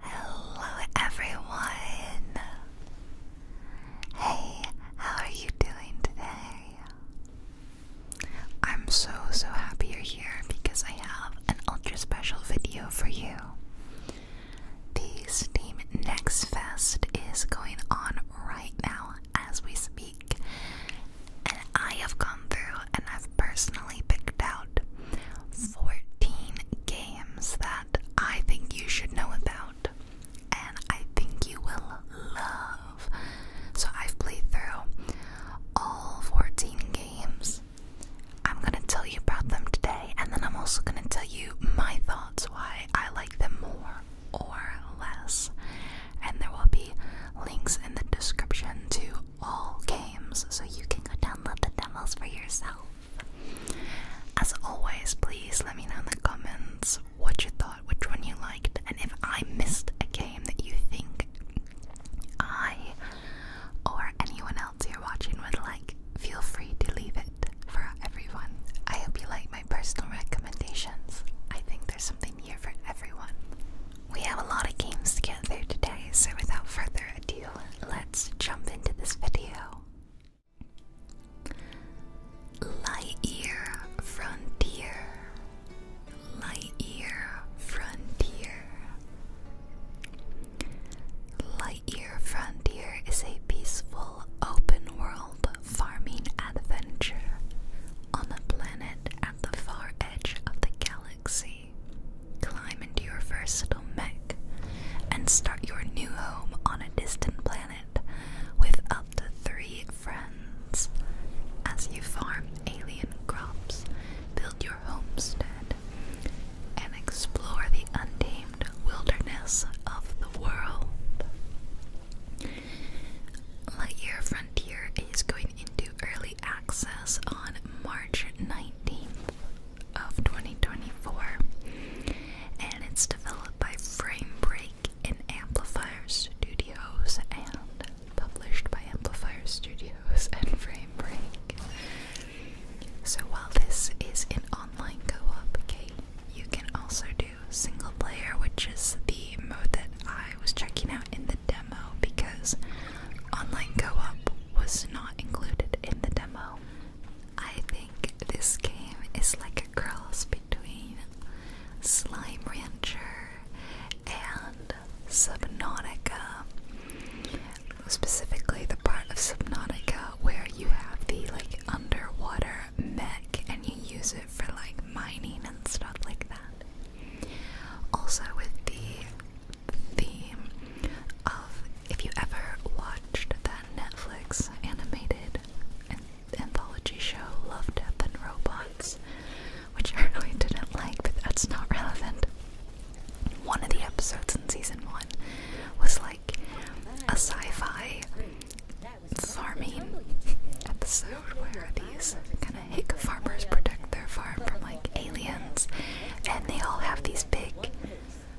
Hello everyone! Hey, how are you doing today? I'm so so happy you're here because I have an ultra special video for you. The Steam Next Fest is going on right now as we speak, and I have gone through and I've personally picked out 14 games that I think you should know about and I think you will love. So I've played through all 14 games. I'm going to tell you about them today and then I'm also going to tell you my thoughts why I like them more or less. And there will be links in the description to all games so you can go download the demos for yourself. As always, please let me know in the comments what you thought, which one you liked, and if I missed a game that you think I or anyone else here watching would like, feel free to leave it for everyone. I hope you like my personal recommendations. I think there's something here for everyone. We have a lot of games to get through today, so without further ado, let's jump into this video. Lightyear Frontier. Lightyear Frontier. Lightyear Frontier is a peaceful open world farming adventure on a planet at the far edge of the galaxy climb into your versatile mech, and start your new home on a distant planet with up to three friends. As you farm alien crops, build your homestead, and explore the untamed wilderness of the world. Lightyear Frontier is going into early access on March 19th of 2024, and it's developed by Framebreak in Amplifier Studios and published by Amplifier Studios and Framebreak. So while this is an online co-op game, you can also do single player, which is the mode that I was checking out in the demo because online co-op was not included in the demo. I think this game is like a cross between Slime Rancher and Subnautica. Specifically, the part of Subnautica where you have the like underwater mech and you use it for like mining and stuff like that. Also, with the theme of if you ever watched that Netflix animated anthology show Love, Death, and Robots, which I really didn't like, but that's not relevant. One of the episodes in season one was like a sci fi farming episode where these kind of hick farmers protect their farm from like aliens, and they all have these big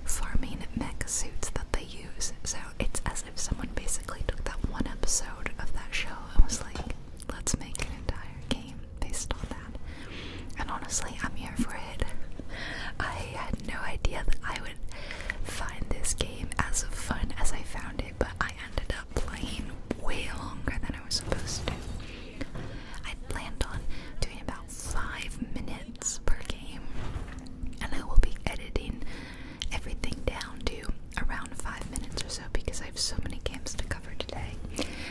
farming mech suits that they use. So it's as if someone basically took that one episode of that show and was like, let's make an entire game based on that. And honestly, I'm here for it. I had no idea that I would find this game as fun as I found it, but I ended up playing way longer than I was supposed to. I planned on doing about five minutes per game, and I will be editing everything down to around five minutes or so because I have so many games to cover today.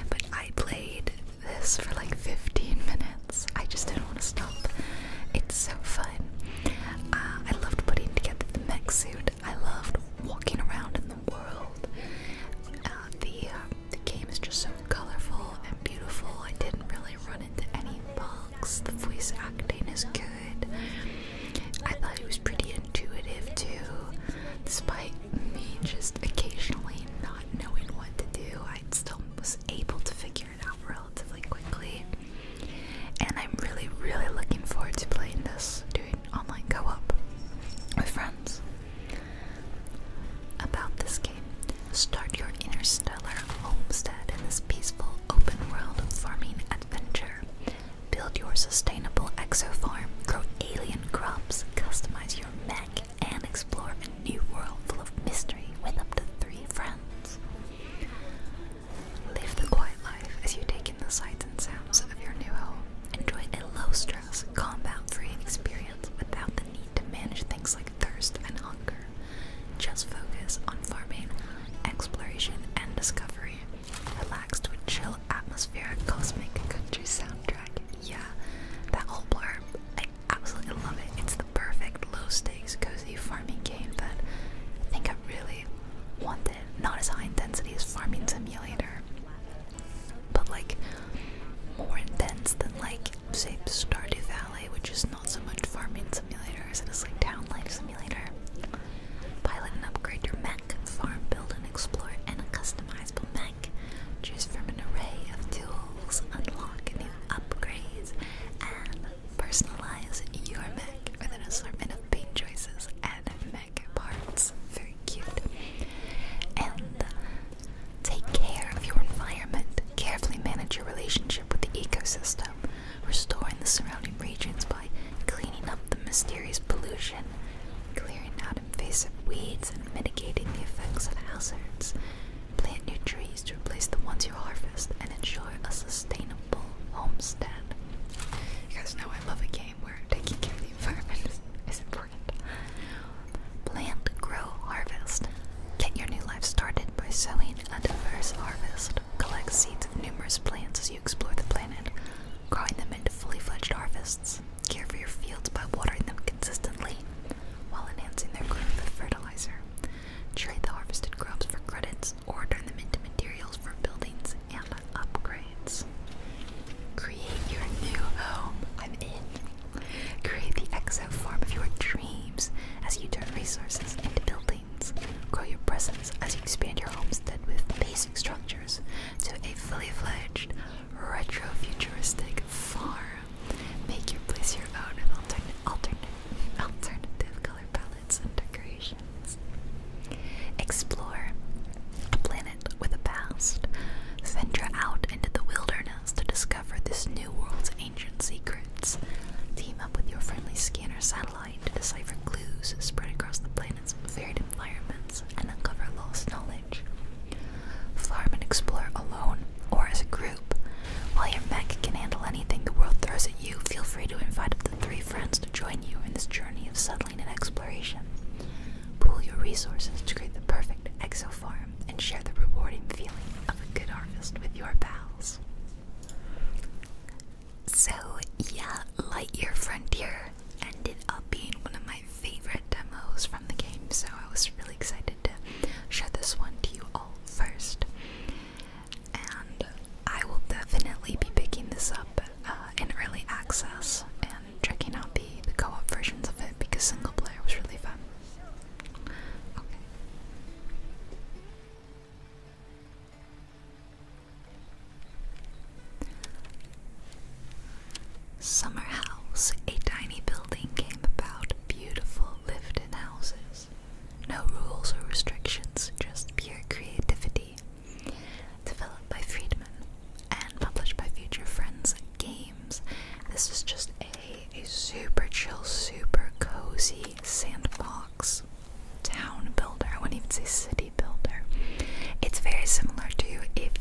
But I played this for like 15 minutes. I just didn't want to stop. It's so fun. Uh, I loved putting together the mech suit. I loved walking around in the world. Uh, the uh, the game is just so colorful and beautiful. I didn't really run into any bugs. The voice acting is good. I thought it was pretty intuitive too. Despite me just occasionally not knowing what to do, I still was able to figure it out relatively quickly. And I'm really, really looking forward to playing this, doing online co op with friends. About this game, start your interstellar homestead in this peaceful open world farming adventure. Build your sustainable exo-farm, grow alien crops, customize your mech, and explore a new world full of mystery with up to three friends. Live the quiet life as you take in the sights and sounds of your new home. Enjoy a low-stress Sarah's combat-free experience without the need to manage things like thirst and hunger. Just focus on farming, exploration, and discovery. Relaxed with a chill, atmospheric, cosmic country soundtrack. Yeah, that whole blurb, I absolutely love it. It's the perfect low-stakes, cozy farming game that I think I really wanted. Not as high-intensity as Farming Simulator, but like more intense than like say Stardew Valley, which is not so much farming simulator as it is like town life simulator. Pilot and upgrade your mech, farm, build, and explore, and a customizable mech. Choose from an array of tools, unlock new upgrades, and personalize your mech with an assortment of paint choices and mech parts. Very cute. And Take care of your environment. Carefully manage your relationship with the ecosystem, restoring the surrounding regions by cleaning up the mysterious pollution, clearing out invasive weeds, and mitigating the effects of hazards. Plant new trees to replace the ones you harvest and ensure a sustainable homestead. You guys know I love a game where taking care of the environment is important important. Plant, grow, harvest. Get your new life started by sowing a diverse harvest. Collect seeds of numerous plants as you explore the planet, growing them into fully fledged harvests. Care for your fields by watering them consistently while enhancing their growth with fertilizer. Trade the harvested crops for credits or turn them into materials for buildings and upgrades. Create your new home. I'm in. Create the exo form of your dreams as you turn resources into buildings. Grow your presence as you expand your homestead with basic structures to a fully fledged retro futuristic farm. Make your place your own with alternate, alternate, alternative color palettes and decorations. Explore a planet with a past. Venture out into the wilderness to discover discover this new world's ancient secrets. Team up with your friendly scanner satellite to decipher clues spread across the planet's varied environments and uncover lost knowledge. Farm and explore alone or as a group. While your mech can handle anything the world throws at you, feel free to invite up to three friends to join you in this journey of settling and exploration. Pool your resources to create the perfect exo exofarm and share the rewarding feeling of a good harvest with your pals. So, yeah, Lightyear Frontier ended up being one of my favorite demos from the game, so I was really excited to share this one to you all first. And I will definitely be picking this up uh, in early access and checking out the co op versions of it because single player was really fun. Summer House, a tiny building, came about beautiful lived in houses. No rules or restrictions, just pure creativity. Developed by Friedman and published by future friends games. This is just a, a super chill, super cozy sandbox town builder. I wouldn't even say city builder. It's very similar to if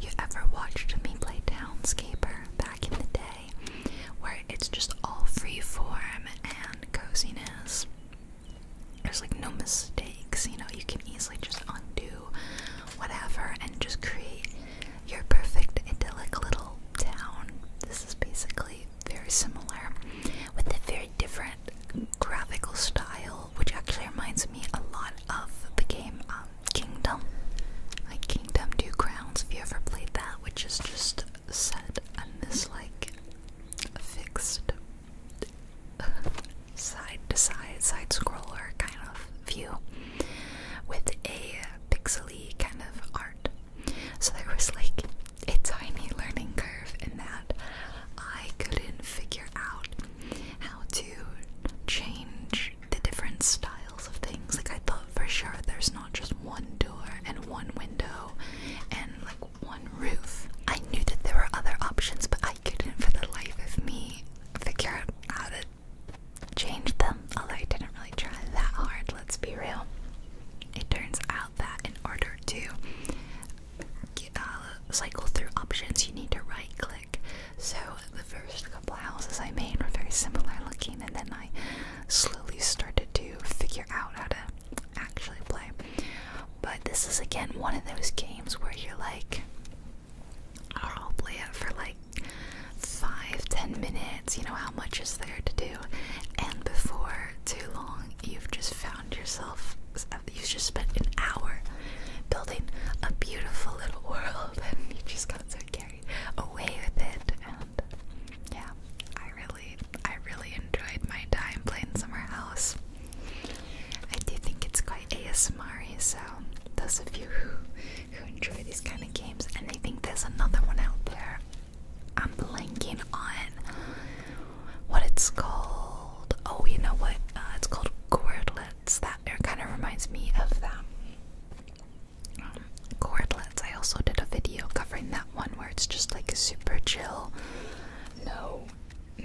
you ever watched me play Townscaper back in the day, where it's just all free form and coziness. There's like no mistakes, you know, you can easily just undo whatever, and just create your perfect idyllic little town. This is basically very similar with a very different graphical style, which actually reminds me a lot of the game um, Kingdom, like Kingdom Two Crowns. If you ever played that, which is just set on this like fixed side to side side scroller kind of view with a pixely kind of art. So there was like a tiny learning curve in that I couldn't figure out how to change the different styles of things. Like I thought for sure there's not just one door and one window and like one roof. I knew that there were other options, but I couldn't for the life of me figure out how to change them, although I didn't really try that hard, let's be real. It turns out that in order to uh, cycle through options, you need to right click. So the first couple houses I made were very similar looking, and then I slowly started to figure out how to actually play. But this is again one of those games where you're like, I'll play it for like five, ten minutes, you know, how much is there to do? And before too long, you've just found yourself, you've just spent an hour building a beautiful little world, and you just got so carried away with it. And yeah, I really, I really enjoyed my time playing Summer House. I do think it's quite ASMR, so those of you who who enjoy these kind of games, and I think there's another one out there. I'm blanking on what it's called. Oh, you know what? Uh, it's called Cordlets. That kind of reminds me of that. Um, Cordlets. I also did a video covering that one where it's just like super chill. No,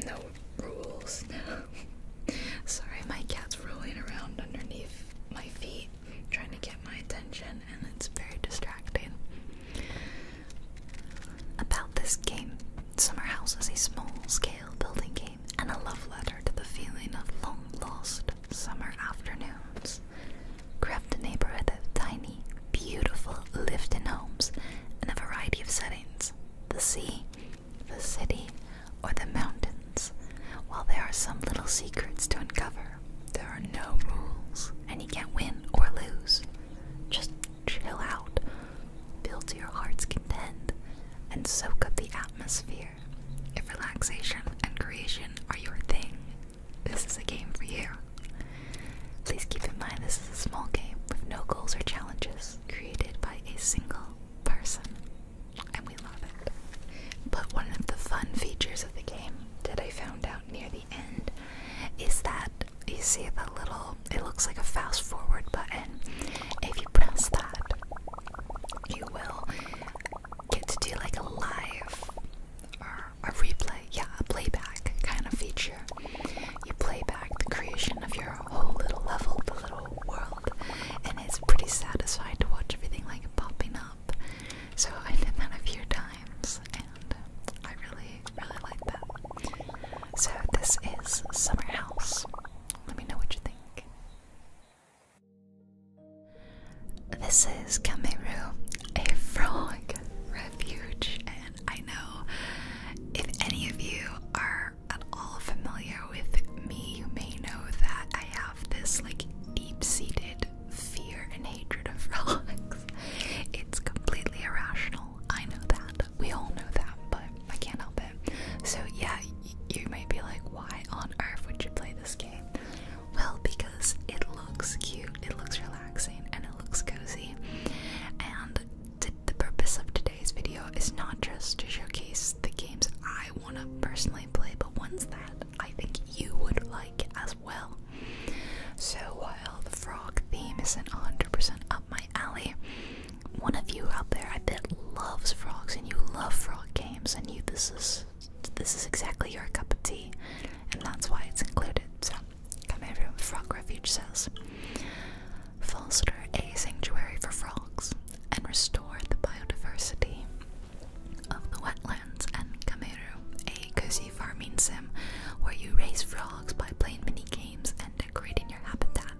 no rules. Sorry, my cat's rolling around underneath my feet trying to get my attention, and it's very distracting. About this game, Summer House is a small scale building game and a love letter to the feeling of long lost summer afternoons. Craft a neighborhood of tiny, beautiful lived in homes in a variety of settings the sea, the city, or the mountains. While there are some little secrets to uncover, there are no rules, and you can't win or lose. Just chill out, feel to your heart's content, and soak up the atmosphere. If relaxation and creation are your thing, this is a game for you. Please keep in mind this is a small game with no goals or challenges created by a single person and we love it. But one of the fun features of the game that I found out near the end is that you see the little, it looks like a fast forward button. If you press that, you will get to do like a live or a replay, yeah, a playback kind of feature. You play back the creation of your whole little level, the little world, and it's pretty satisfying to watch everything like popping up so I did that a few times and I really, really like that. So this is Summer House. Let me know what you think. This is Kameru, a frog refuge, and I know if any of you are at all familiar with me, you may know that I have this like deep-seated fear and hatred of frogs. It's completely irrational. I know that. We all know that, but I can't help it. So yeah, you might be like, why on earth would you play this game? Well, because it looks cute, it looks relaxing, and it looks cozy. And the purpose of today's video is not just to showcase the games I want to personally play, but ones that I think you would like as well. So while the frog theme isn't 100% up my alley, one of you out there that loves frogs and you love frog games and you this is this is exactly your cup of tea and that's why it's included. So come over Frog Refuge says. Foster a sanctuary for frogs and restore the biodiversity of the wetlands and Kameru, a cozy farming sim where you raise frogs by playing mini games and decorating your habitat.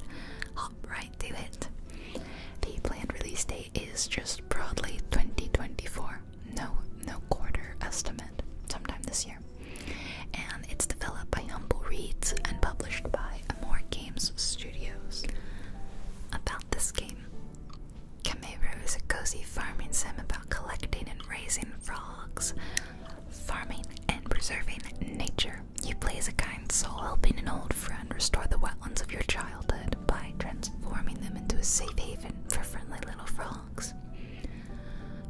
Hop right to it. The planned release date is just broadly 2024. No, no quarter estimate. Sometime this year. And it's developed by Humble Reads and published by Amore Games Studios. About this game. Kameru is a cozy farming sim about collecting and raising frogs, farming and preserving nature. You play as a kind soul helping an old friend restore the wetlands of your childhood by transforming them into a safe haven for friendly little frogs.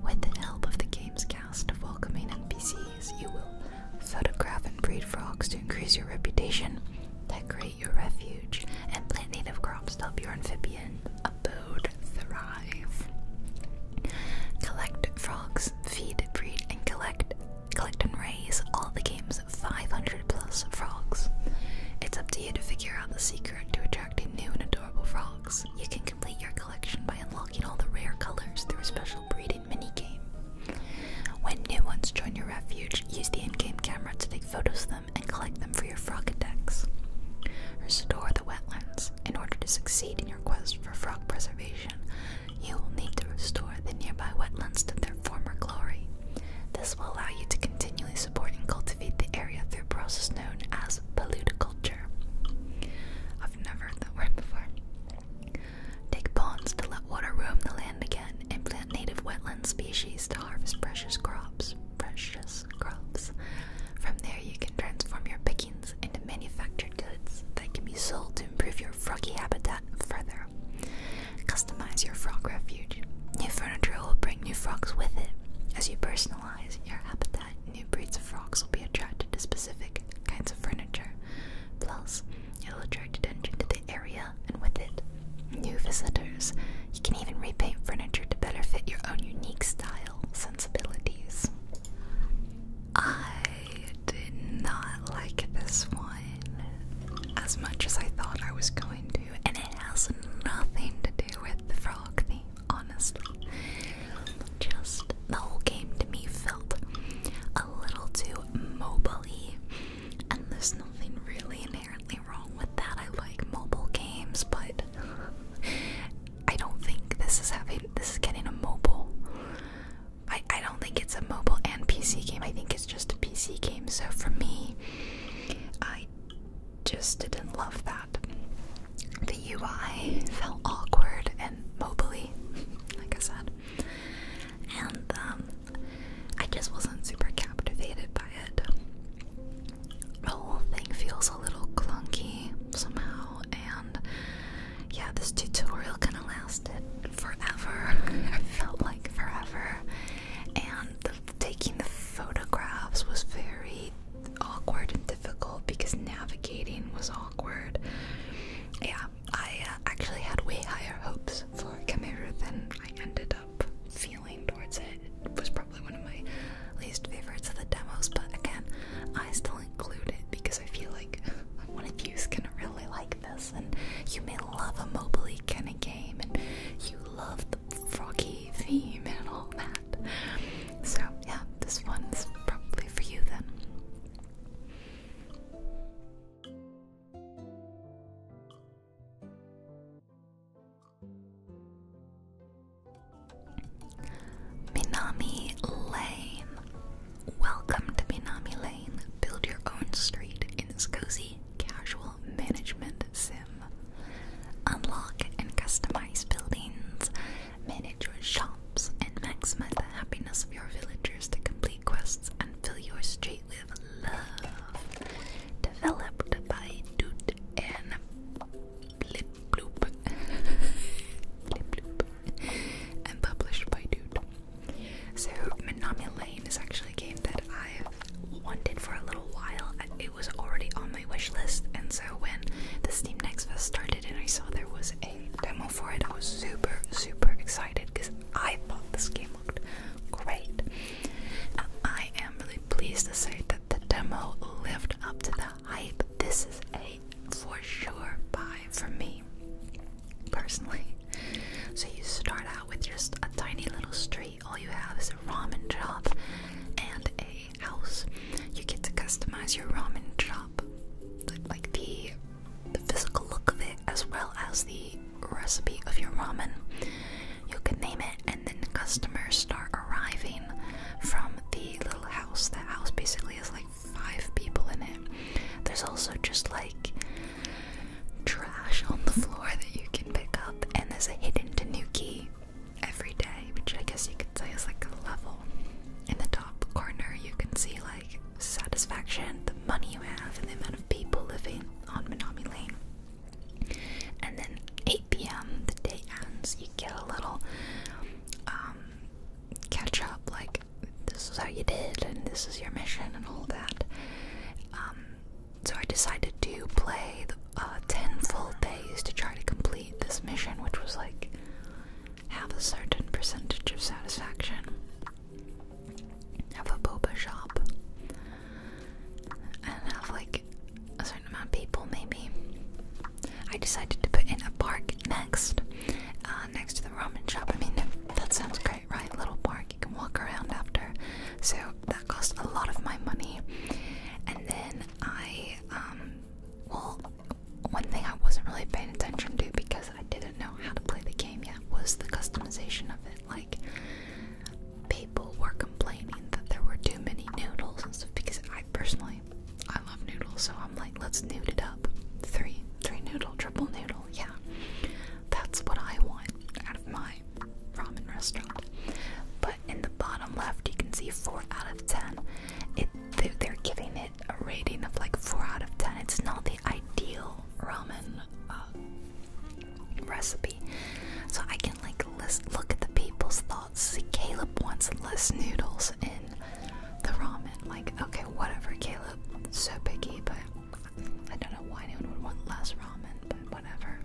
With the help of the game's cast of welcoming NPCs, you will photograph and breed frogs to increase your reputation, decorate your refuge and plant native crops to help your amphibian abode thrive. Collect frogs, feed, breed, and collect collect and raise all the game's 500 plus frogs. It's up to you to figure out the secret to attracting new and adorable frogs. You can complete your collection by unlocking all the rare colors through a special breeding game. When new ones join your refuge, use the in-game camera to take photos of them and collect them for your frog decks. Restore the wetlands. In order to succeed in your quest for frog preservation, you will need to restore the nearby wetlands to their former glory. This will allow you to continually support and cultivate the area through a process known as polluticulture. I've never heard that word before. Take ponds to let water roam the land again. And implant native wetland species to harvest precious crops. Precious crops. From there, you can transform your pickings into manufactured goods that can be sold to improve your froggy habitat further. Customize your frog refuge. New furniture will bring new frogs with it. As you personalize your habitat, new breeds of frogs will be attracted to specific kinds of furniture. Plus, it'll attract attention to the area and with it, new visitors. You can even repaint furniture to better fit your own unique style sensibilities. I did not like this one as much as I thought I was going to, and it has nothing to do with the frog theme, honestly. Just the whole game to me felt a little too mobile and there's nothing really in inherently wrong with that. I like mobile games, but I don't think this is having this is getting a mobile. I, I don't think it's a mobile and PC game. I think it's just a PC game. So for me, I just didn't love that. The UI felt awkward and mobily, like I said. And um, I just wasn't super captivated by it. The whole thing feels a little clunky somehow, and yeah, this tutorial kind of lasted forever. it felt like forever, and taking the photographs was very awkward and difficult because navigating was awkward. Yeah, I uh, actually had way higher hopes for Cameru than I ended up feeling towards it. was probably one of my least favorites of the demos, but again, I still include it because I feel like one of you's gonna really like this, and you may love a mobiley kind of game, and you love the froggy theme and all that. So yeah, this one's probably for you then. Minami Lane. Welcome to Minami Lane. Build your own street in this cozy casual management sim. Unlock and customize buildings, manage your shops, and maximize the happiness of your villagers to complete quests and fill your street with love developed by Doot and published by Doot. So, Minami Lane is actually a game that I've wanted for a little while. It was already on my wish list, and so when the Steam Next Fest started and I saw there was a demo for it, I was super, super excited because I thought this game looked great. I am really pleased to say that the demo lived up to the hype. This is a for sure buy for me personally. So you start out with just a tiny little street. All you have is a ramen shop and a house. You get to customize your ramen shop, like the the physical look of it as well as the recipe of your ramen. You can name it, and then the customers start arriving from the little house. That house basically has like five people in it. There's also just like trash on the floor that you can pick up, and there's a hidden tanuki every day, which I guess you could say is like a level. In the top corner, you can see like satisfaction, the money you have, and the amount of people living on Minami Lane. And then 8 p.m. the day ends. You get a little um, catch up, like this is how you did, and this is your mission, and all that. Um, so I decided to play uh, 10 full days to try to complete this mission, which was like have a certain percentage of satisfaction have a boba shop and have like a certain amount people maybe. I decided to put in a park next, uh, next to the ramen shop. I mean, that sounds great, right? Little park you can walk around after. So that cost a lot of my money. And then I, um, well, one thing I wasn't really paying attention to because I didn't know how to play the game yet was the customization of it. like people were complaining that there were too many noodles and stuff because I personally I love noodles, so I'm like, let's noodle it up. Three, three noodle, triple noodle, yeah. That's what I want out of my ramen restaurant. But in the bottom left, you can see four out of ten. It they're giving it a rating of like four out of ten. It's not the ideal ramen uh, recipe. So I can like look at the people's thoughts. See, Caleb wants less noodles in the ramen. Like, okay, whatever, Caleb. So picky, but I don't know why anyone would want less ramen, but whatever.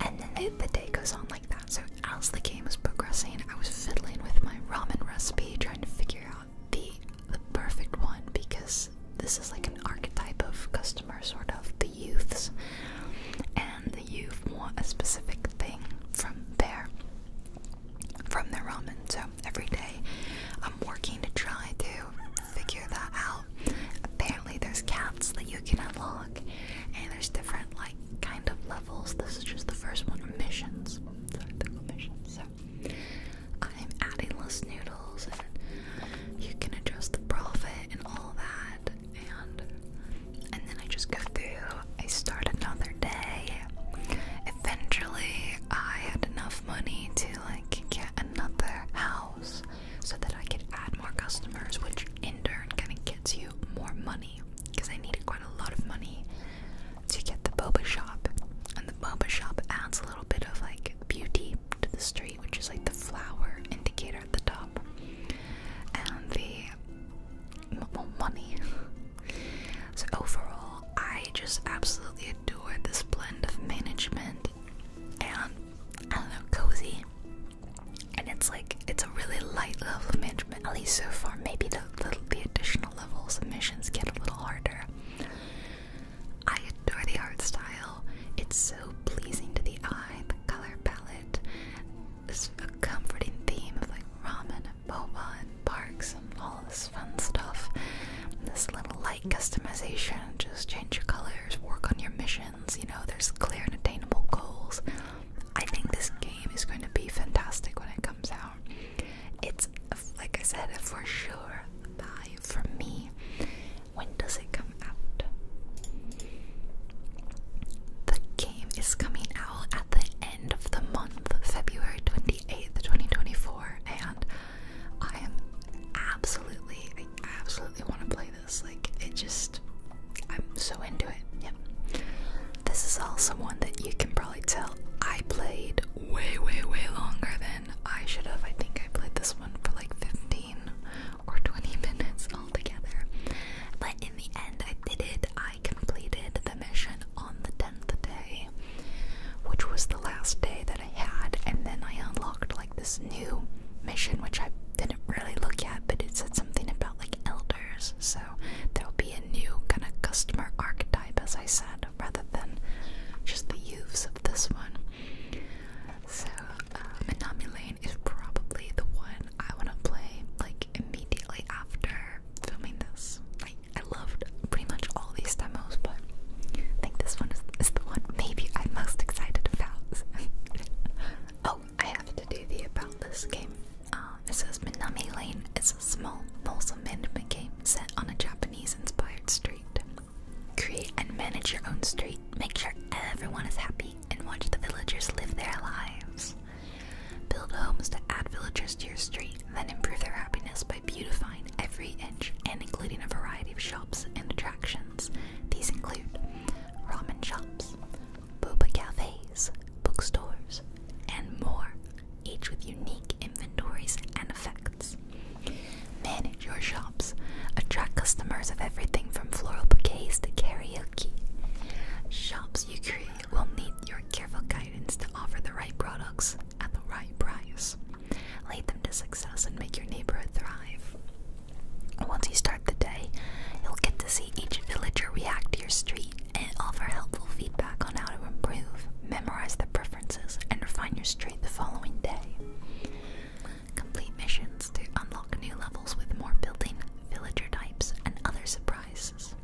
And then the, day goes on like that. So as the game was progressing, I was fiddling with my ramen recipe, trying to figure out the perfect one because this is like an archetype of customer, sort of the youths, and the youth want a specific thing from there, from their ramen. So every day, I'm working to try to figure that out. Apparently, there's cats that you can unlock, and there's different like kind of levels. This is just the first one missions. Sorry, missions. So I'm adding less noodles and you can adjust the profit and all that and and then I just go through I start another day. Eventually I had enough money to like get another house so that I could add more customers which in turn kinda gets you more money because I needed quite a lot of money to get the boba shop and the boba shop adds a little bit of like beauty to the street which is like the flower indicator at the top, and the money. so overall, I just absolutely adore this blend of management and I don't know, cozy. And it's like it's a really light level of management, at least so far. Maybe the the, the additional levels of missions get a little harder. I adore the art style. It's so pleasing to the eye, the color palette. There's a comforting theme of like ramen and boba and parks and all this fun stuff. This little light customization, just change your colors, work on your missions, you know, there's clear and attainable goals. I think this game is going to be fantastic when it comes out. It's, like I said, for sure buy for me. When does it come out? The game is coming out at the end of the month, February 28th, 2024, and I am absolutely, I absolutely want to play this. Like, it just, I'm so into it. Yep. This is also one that you can probably tell I played way, way, way longer than I should have, I think I played this one for like 15 or 20 minutes altogether. But in the end, I did it. I completed the mission on the 10th day, which was the last day that I had. And then I unlocked like this new mission, which I didn't really look at, but it said something about like elders. So there'll be a new kind of customer archetype, as I said, rather than just the youths of this one. So Minami um, Lane is probably the one I want to play like immediately after filming this. I, loved pretty much all these demos, but I think this one is, the one maybe I'm most excited about. oh, I have to do the about this game. Um, it says Minami Lane It's a small, wholesome management game set on a Japanese inspired street. Create and manage your own street. Make sure everyone is happy and watch the villagers live their lives. Build homes to add villagers to your street, then improve their happiness by beautifying every inch and including a variety of shops and attractions. These include ramen shops, boba cafes, bookstores, and more, each with unique inventories and effects. Manage your shops. Attract customers of everything from floral bouquets to karaoke. Shops you create will need your careful guidance to offer the right products at the right price. Lead them to success and make your neighborhood thrive. Once you start the day, you'll get to see each villager react to your street and offer helpful feedback on how to improve, memorize their preferences, and refine your street the following day. Complete missions to unlock new levels with more building, villager types, and other surprises.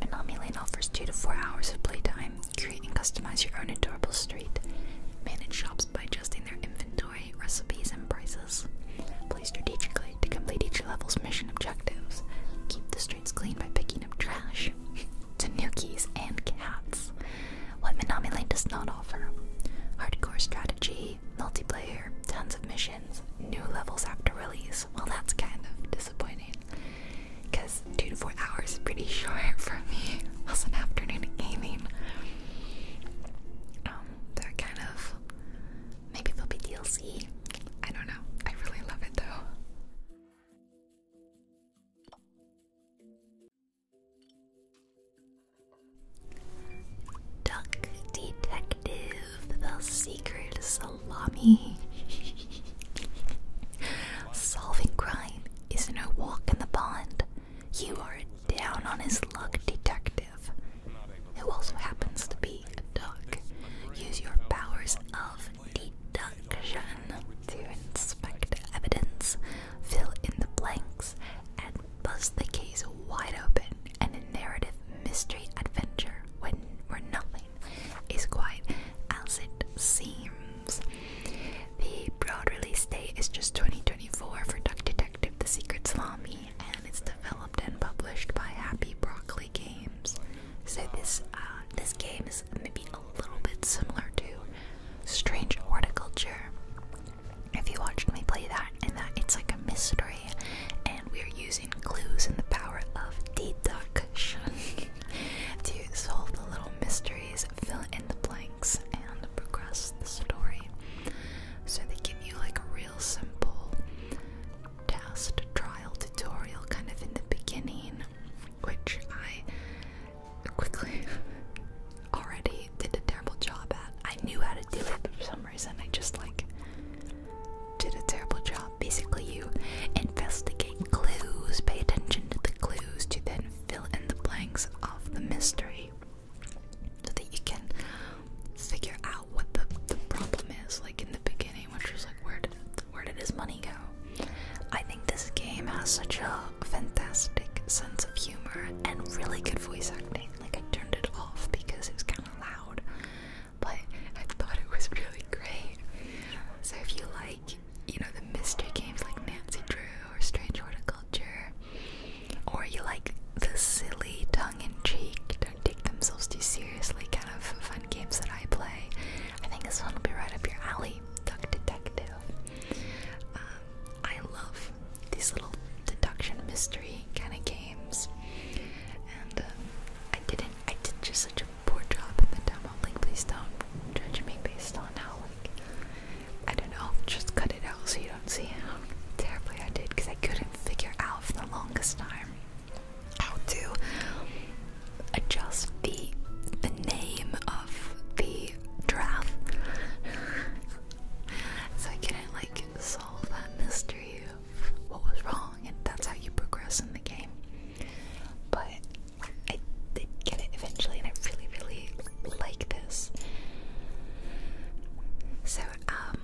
Minami Lane offers 2 to 4 hours of playtime. Create and customize your own adorable street. Manage shops by adjusting their inventory, recipes, and prices. Play strategically to complete each level's mission objectives. Keep the streets clean by picking up trash. Tanukis and cats what Minami Lane does not offer. Hardcore strategy, multiplayer, tons of missions, new levels after release. Well, that's kind of disappointing. Because two to four hours is pretty short for me as an afternoon gaming. Um, they kind of. Maybe they'll be DLC. I don't know. I really love it though. Duck Detective, the secret salami. Solving crime is no walk in the pond. You are down on his luck detective, who also happens to be a duck. Use your powers of deduction to inspect evidence, fill in the blanks, and bust the case wide open and a narrative mystery adventure when where nothing is quite as it seems. The broad release date is just 2024 for Duck Detective The Secret Salami and it's developed and published by Happy Broccoli Games. So this uh, this game is maybe a little bit similar to Strange Horticulture if you watched me play that, and that it's like a mystery, and we're using clues and the power of deduction to solve the little mysteries, fill in the blanks, and progress the story. So they give you like a real simple test trial tutorial kind of in the beginning, which I quickly already did a terrible job at. I knew how to do it, but for some reason I just like did a terrible job. Basically, you investigate clues, pay attention to the clues to then fill in the blanks of the mystery so that you can figure out what the, the problem is. Like in the beginning, which was like, where did, where did his money go? I think this game has such a fantastic sense of humor and really good voice acting. Like I turned it off because it was kind of loud, but I thought it was really great. So if you like, you know, the mystery games like Nancy Drew or Strange Horticulture, or you like the silly, tongue-in-cheek, don't take themselves too seriously kind of fun games that I play, I think this one will be right up your alley. Duck Detective. Um, I love these little deduction mystery kind of games. And uh, I didn't, I did just such a poor job in the demo. Like, please don't judge me based on how, like, I don't know, just cut it out so you don't see how terribly I did because I couldn't figure out for the longest time how to adjust the the name of the draft. so I couldn't like solve that mystery of what was wrong, and that's how you progress in the game. But I did get it eventually, and I really, really like this. So, um,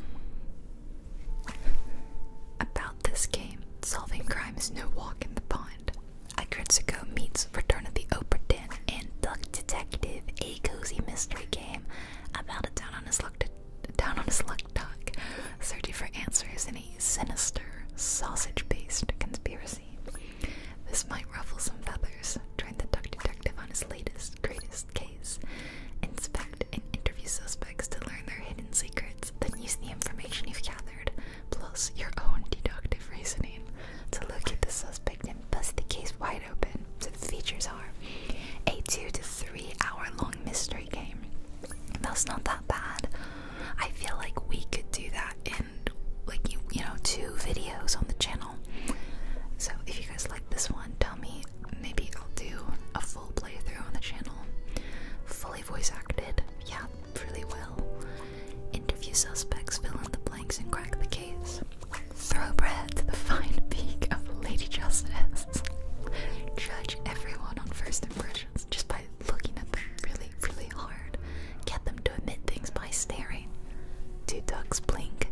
about this game, solving crime is no walk in the pond. Agretsuko meets is Return of the Oprah Din and Duck Detective, a cozy mystery game about a down on his luck, down on his luck duck searching for answers in a sinister sausage-based conspiracy. This might ruffle some feathers. Join the duck detective on his latest, greatest case. Inspect and interview suspects to learn their hidden secrets. Then use the information you've gathered, plus your own deductive reasoning, to look at the suspect and bust the case wide open open. So the features are a two to three hour long mystery game. That's not that bad. I feel like we could do that in like you, you know two videos on the channel. So if you guys like this one, tell me. Maybe I'll do a full playthrough on the channel, fully voice acted, yeah, really well interview suspects, fill in the blanks, and crack the case. Throw bread to the fine peak of Lady Justice. Judge everyone on first impressions just by looking at them really, really hard. Get them to admit things by staring. Do ducks blink?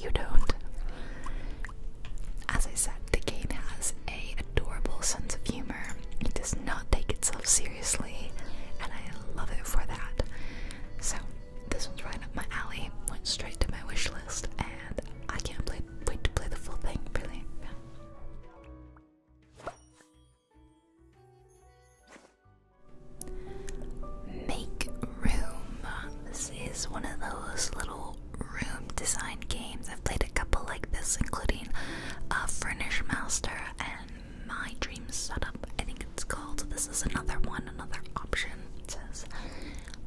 You don't. As I said, the game has a adorable sense of humor. It does not take itself seriously, and I love it for that. So this one's right up my alley. Went straight to my wish list, and I can't play, wait to play the full thing. Really. Make room. This is one of those little room design games. I've played a couple like this, including uh, Furnish Master and My Dream Setup. I think it's called. This is another one, another option. It says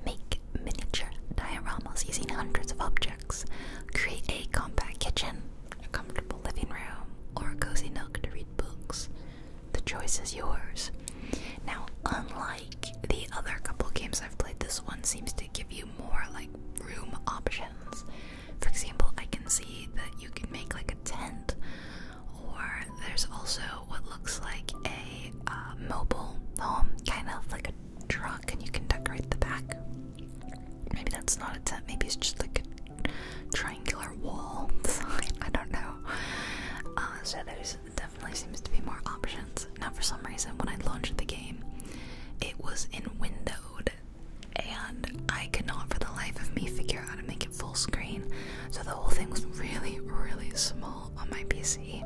make miniature dioramas using hundreds of objects. Create a compact kitchen, a comfortable living room, or a cozy nook to read books. The choice is yours. Now, unlike the other couple games I've played, this one seems to give you more like room options. For example, I can see that you can make like a tent or there's also what looks like a uh, mobile home, kind of like a truck, and you can decorate the back. Maybe that's not a tent, maybe it's just like a triangular wall I don't know. Uh, so there's definitely seems to be more options. Now, for some reason, when I launched the game, it was in windowed, and I could not for the life of me figure out how to make it full screen. So the whole thing was really, really small on my PC.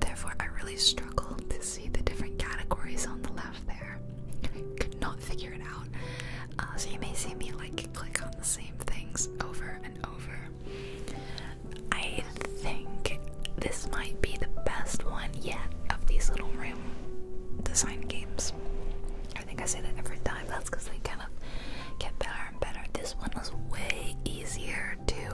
Therefore, I really struggled to see the different categories on the left there. Could not figure it out. Uh, so you may see me like click on the same things over and over. I think this might be the best one yet of these little room design games. I think I say that every time. That's because they kind of get better this one was way easier to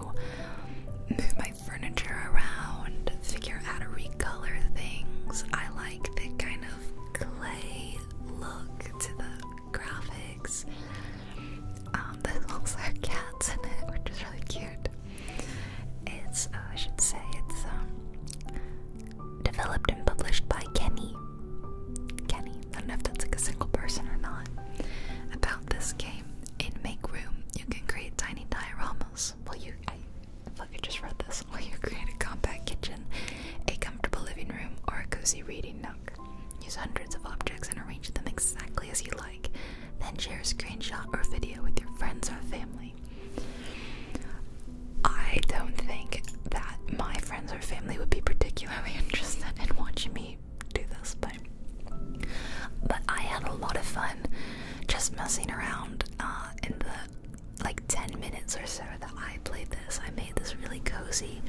move my furniture around, figure out to recolor things. I like the kind of clay look to the graphics. Um, there's also cats in it, which is really cute. It's, oh, I should say, it's um, developed and published by Kenny Kenny, I don't know if that's like a single person or not, about this game. In Make Room, you can create tiny dioramas. Well, you, I, look, I just read this. Well, you create a compact kitchen, a comfortable living room, or a cozy reading nook? Use hundreds of objects and arrange them exactly as you like. Then share a screenshot or video with your friends or family. I don't think that my friends or family would be particularly interested in watching me do this, but but I had a lot of fun just messing around uh, in the like 10 minutes or so that I played this. I made this really cozy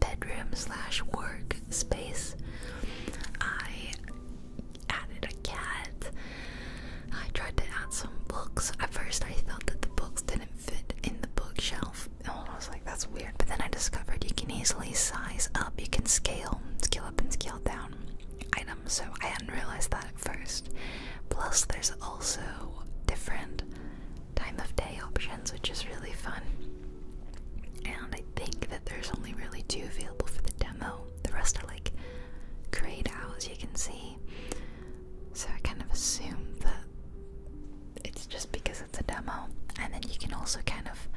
bedroom slash work space. I added a cat. I tried to add some books. At first, I thought that the books didn't fit in the bookshelf Oh, I was like, that's weird. But then I discovered you can easily size up, you can scale, scale up and scale down items. So I hadn't realized that at first. Plus, there's also different time of day options, which is really fun. And I think that there's only really two available for the demo. The rest are like grayed out, as you can see. So I kind of assumed that it's just because it's a demo. And then you can also kind of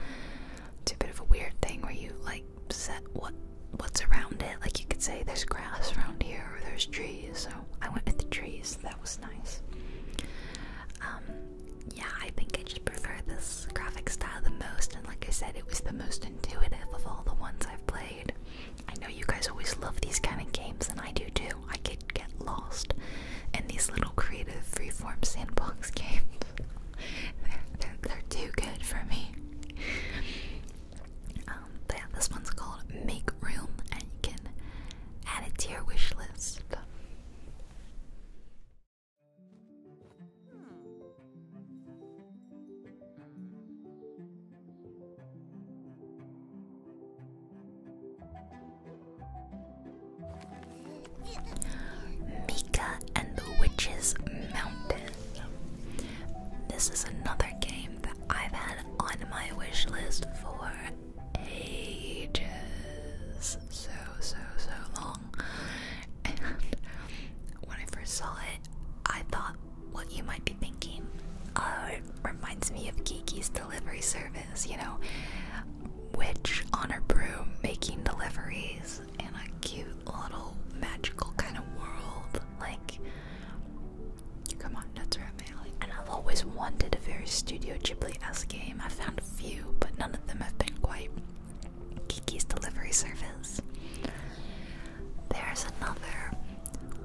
do a bit of a weird thing where you like set what what's around it. Like you could say there's grass around here or there's trees. So I went with the trees. That was nice. Um, yeah, I think I just prefer this graphic style the most. And like I said, it was the most intuitive of all the ones I've played. I know you guys always love these kind of games, and I do too. I could get lost and these little creative freeform sandbox games. they're, too good for me. Um, this one's called Make Room, and you can add it to your wish list. Mika and the Witch's Mountain. This is another game that I've had on my wish list for ages. So, so, so long. And when I first saw it, I thought what you might be thinking reminds me of Kiki's delivery service, you know, witch on her broom making deliveries in a cute little magical kind of world. Like, come on, that's right, my alley. And I've always wanted a very Studio Ghibli-esque game. I found a few, but none of them have been quite Kiki's delivery service. There's another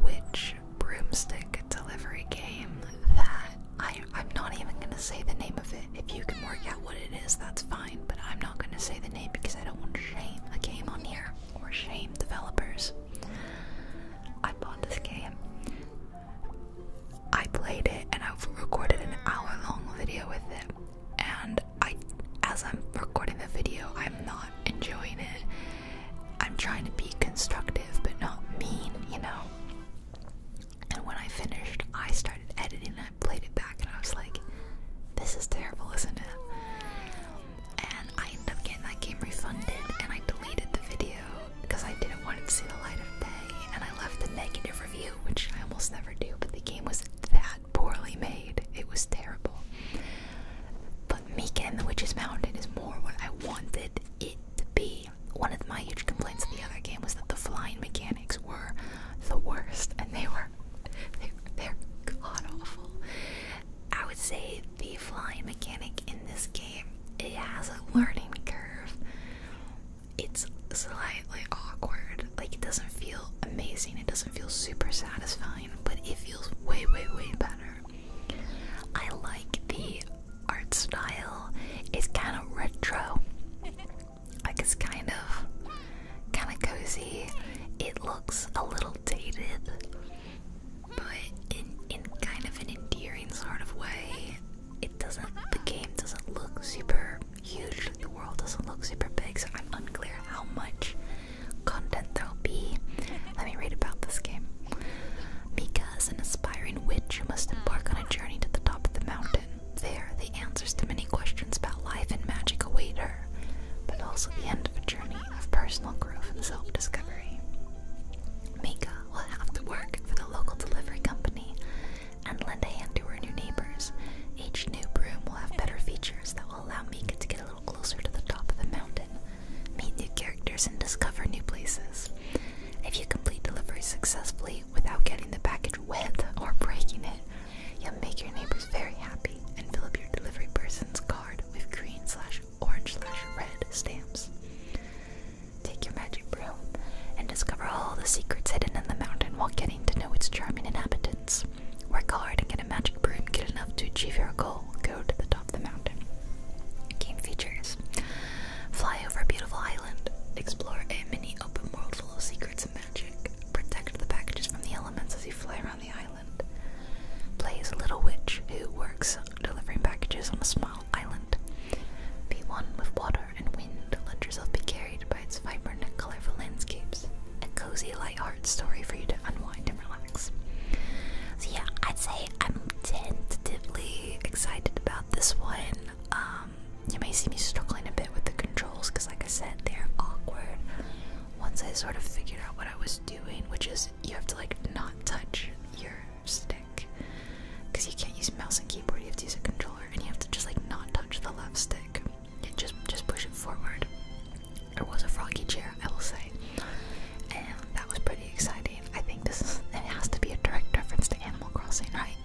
witch broomstick delivery game that I, I'm not even gonna say the name of it. If you can work out what it is, that's fine, but I'm not gonna say the name because I don't want to shame a game on here or shame developers. I bought this game, I played it, and I've recorded an hour long video with it. And I, as I'm recording the video, I'm not enjoying it. I'm trying to be constructive but not mean, you know? And when I finished, I started editing and I played it back and I was like, this is terrible, isn't it? And I ended up getting that game refunded and I deleted the video because I didn't want it to see the light of day and I left a negative review, which I almost never do, but the game was that poorly made. It was terrible. But Meek and the Witch's Mountain is more what I wanted it to be one of my huge complaints of the other game was that the flying mechanics were the worst, and they were they're god awful. I would say the flying mechanic in this game it has a learning curve. It's slightly awkward. Like it doesn't feel amazing. It doesn't feel super satisfying, but it feels way, way, way better. I like the art style is kind of retro. Like it's kind of kind of cozy. It looks a little dated, but in in kind of an endearing sort of way. It doesn't. The game doesn't look super huge. The world doesn't look super big, so I'm unclear how much content there'll be. Let me read about this game. Mika is an aspiring witch who must embark on a journey to the top of the mountain. There, the answers to many questions about life and magic await her, but also the end of a journey of personal growth and self discovery. Mika will have to work for the local delivery company and lend a hand to her new neighbors. Each new broom will have better features that will allow Mika to get a little closer to the top of the mountain, meet new characters, and discover new places. If you complete delivery successfully without getting the package wet or breaking it, you'll make your neighbors very happy and fill up your delivery person's card with green slash orange slash red stamps. Take your magic broom and discover all the secrets hidden in the mountain while getting to know its charming inhabitants. Work hard and get a magic broom good enough to achieve your goal. Go to the top of the mountain. Game features. Fly over a beautiful island. Explore a mini open world full of secrets and magic. Protect the packages from the elements as you fly around the island. Play as a little witch who works delivering packages on a small island. Be one with water and wind. Let yourself be carried by its vibrant and colorful landscapes. A cozy, light-hearted story for you to unwind and relax. So yeah, I'd say I am tentatively excited about this one. Um, you may see me struggling a bit with the controls because, like I said, they're awkward. Once I sort of figured out what I was doing, which is you have to like not touch your stick because you can't use mouse and keyboard. You have to use a controller, and you have to just like not touch the left stick. You just just push it forward. There was a froggy chair, I will say, and that was pretty exciting. I think this it has to be a direct reference to Animal Crossing, right?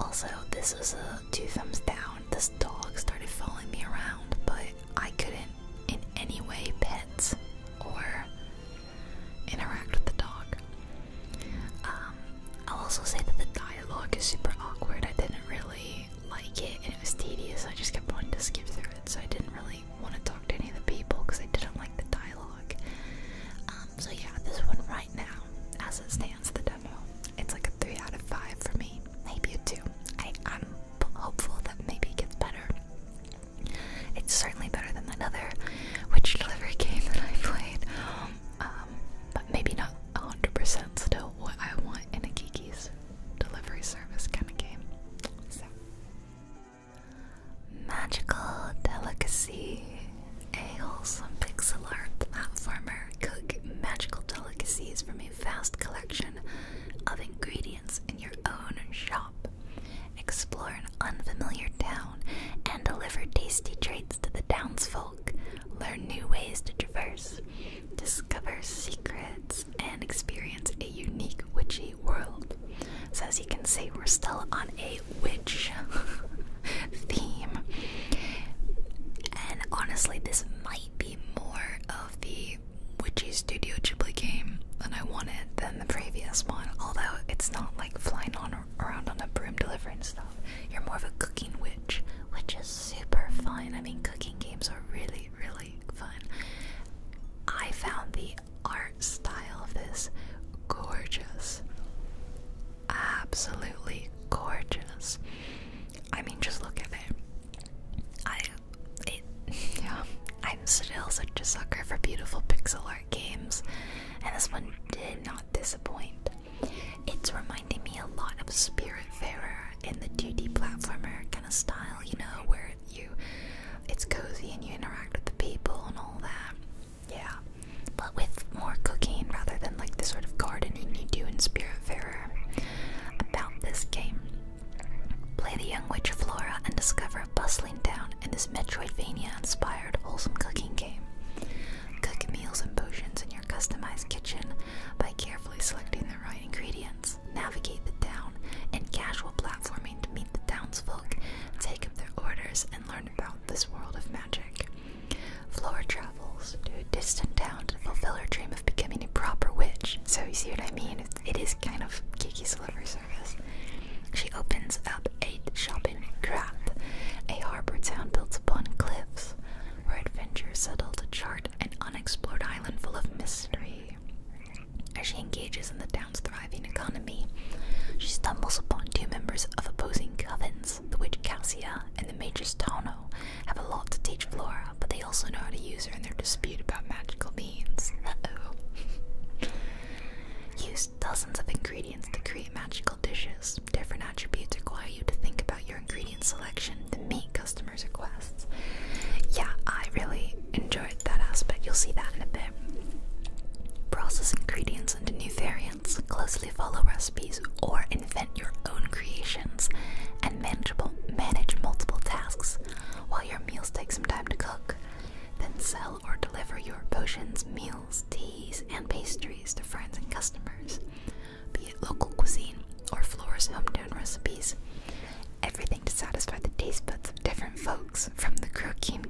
Also, this is a two thumbs down. This dog started following me around, but I couldn't in any way pet or interact with the dog. Um, I'll also say that the dialogue is super awkward. I didn't really like it and it was tedious. I just kept wanting to skip through it, so I didn't really want to talk to any of the people because I didn't like the dialogue. Um, so yeah, this one right now, as it stands, the demo, it's like a three out of five for me. Maybe a two. I am hopeful that maybe it gets better. It's certainly better than another, which delivery game that I played. Um, but maybe not 100% still what I want in a Kiki's delivery service kind of game. So. Magical Delicacy, a wholesome pixel art platformer. Cook magical delicacies from a vast collection of ingredients in your own shop. Explore an unfamiliar town and deliver tasty treats to the townsfolk. Learn new ways to traverse, discover secrets, and experience a unique witchy world. So, as you can see, we're still on a witch theme. And honestly, this might be more of the witchy Studio Ghibli game than I wanted than the previous one. Although it's not like flying on around on a broom delivering stuff. You're more of a cooking witch, which is super fun. I mean, cooking games are really, really fun. I found the art style of this gorgeous. Absolutely gorgeous. I mean, just look at it. I, yeah. I'm still such a sucker for beautiful pixel art games, and this one did not disappoint. It's reminding me a lot of Spiritfarer in the 2D platformer kind of style, you know, where you, it's cozy and you interact with the people and all that. Yeah, but with more cooking rather than like the sort of gardening you do in Spiritfarer. About this game. Play the young witch Flora and discover a bustling town in this Metroidvania inspired wholesome cooking game. Cook meals and potions in your customized kitchen by carefully selecting the right ingredients. Navigate the town in casual platforming to meet the townsfolk, take up their orders, and learn about this world of magic. Flora travels to a distant town to fulfill her dream of becoming a proper witch. So, you see what I mean? It's, kind of Kiki Silver Service. She opens up a shopping craft, a harbor town built upon cliffs, where adventurers settle to chart an unexplored island full of mystery. As she engages in the thriving economy, she stumbles upon two members of opposing covens, the witch Cassia and the matrix Tano, have a lot to teach Flora, but they also know how to use her in their dispute about magical beans. oh use dozens of ingredients to create magical dishes. Different attributes require you to think about your ingredient selection to meet customers' requests. Yeah, I really enjoyed that aspect. You'll see that in a bit. Process ingredients variants into new variants, closely follow recipes, or invent your own creations, and manageable, manage multiple tasks while your meals take some time to cook. Then sell or deliver your potions, meals, teas, and pastries to friends and customers, be it local cuisine or Flora's hometown recipes. Everything to satisfy the taste buds of different folks, from the croquet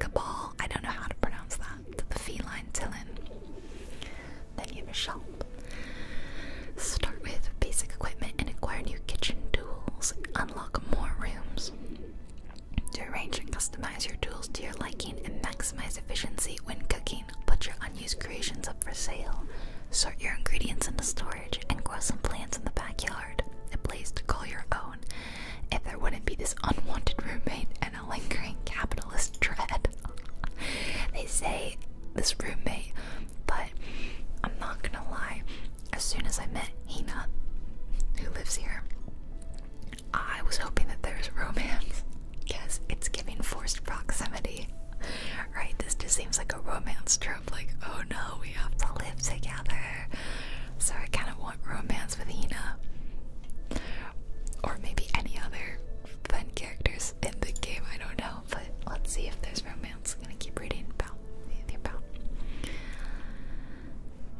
cabal I don't know how to pronounce that. The feline Tillin. Then you have a shop. Start with basic equipment and acquire new kitchen tools. Unlock more rooms. arrange and customize your tools to your liking and maximize efficiency when cooking, put your unused creations up for sale. Sort your ingredients into storage and grow some plants in the backyard. A place to call your own if there wouldn't be this unwanted roommate and a lingering capitalist dread. they say this roommate, but I'm not gonna lie, as soon as I met Hina, who lives here, I was hoping that there's romance because it's giving forced proximity. Right, this just seems like a romance trope, like, oh no, we have to live together. So I kind of want romance with Ina, Or maybe any other fun characters in the game, I don't know. But let's see if there's romance. I'm gonna keep reading about.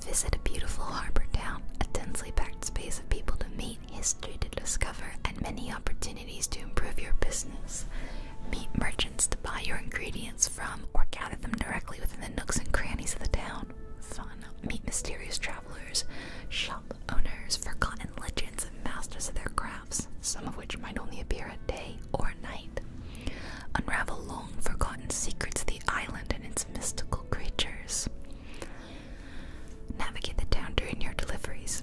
Visit a beautiful harbor town, a densely packed space of people to meet, history to discover, and many opportunities to improve your business. Meet merchants to buy your ingredients from or gather them directly within the nooks and crannies of the town. Fun meet mysterious travelers, shop owners, forgotten legends, and masters of their crafts, some of which might only appear at day or night. Unravel long forgotten secrets of the island and its mystical creatures. Navigate the town during your deliveries.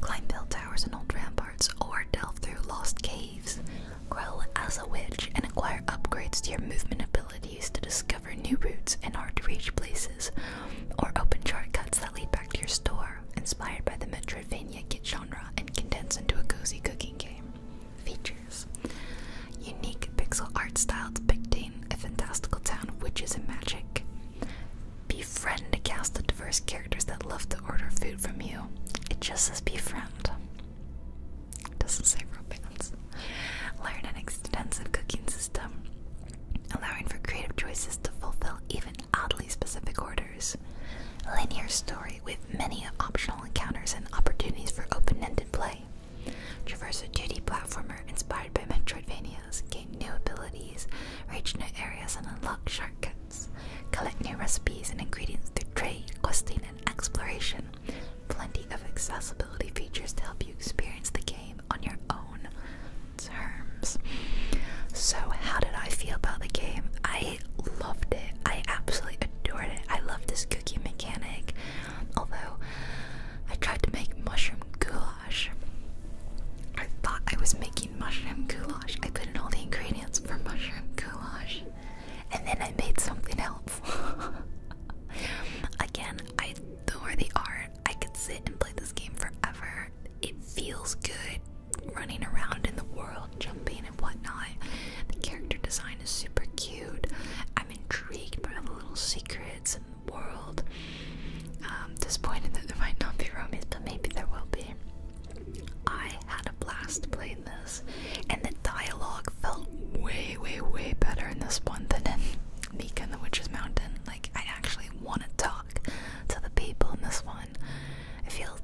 Climb bell towers and old ramparts, or delve through lost caves. Grow as a witch and acquire upgrades to your movement abilities to discover new routes and hard to reach places, or open shortcuts that lead back to your store, inspired by the Metroidvania kit genre and condensed into a cozy cooking game. Features Unique pixel art style depicting a fantastical town of witches and magic. Befriend a cast of diverse characters that love to order food from you. It just says befriend. Doesn't say romance. Learn an extensive cooking system, allowing for creative choices to fulfill even oddly specific orders. Linear story with many optional encounters and opportunities for open-ended play. Traverse a 2D platformer inspired by Metroidvanias, gain new abilities, reach new areas, and unlock shortcuts. Collect new recipes and ingredients through trade, questing, and exploration. Plenty of accessibility features to help you experience the game on your own terms. So, how did I feel about the game? I loved it. I absolutely adored it. I love this cookie mechanic. Although, I tried to make mushroom goulash. I thought I was making mushroom goulash. I put in all the ingredients for mushroom goulash and then I made something else. Again, I adore the art. I could sit and play this game forever. It feels good running around in the world, jumping and whatnot. The character design is super cute. I'm intrigued by the little secrets in world. Um, disappointed that there might not be romance, but maybe there will be. I had a blast playing this, and the dialogue felt way, way, way better in this one than in Meek and the Witch's Mountain. Like, I actually want to talk to the people in this one. It feels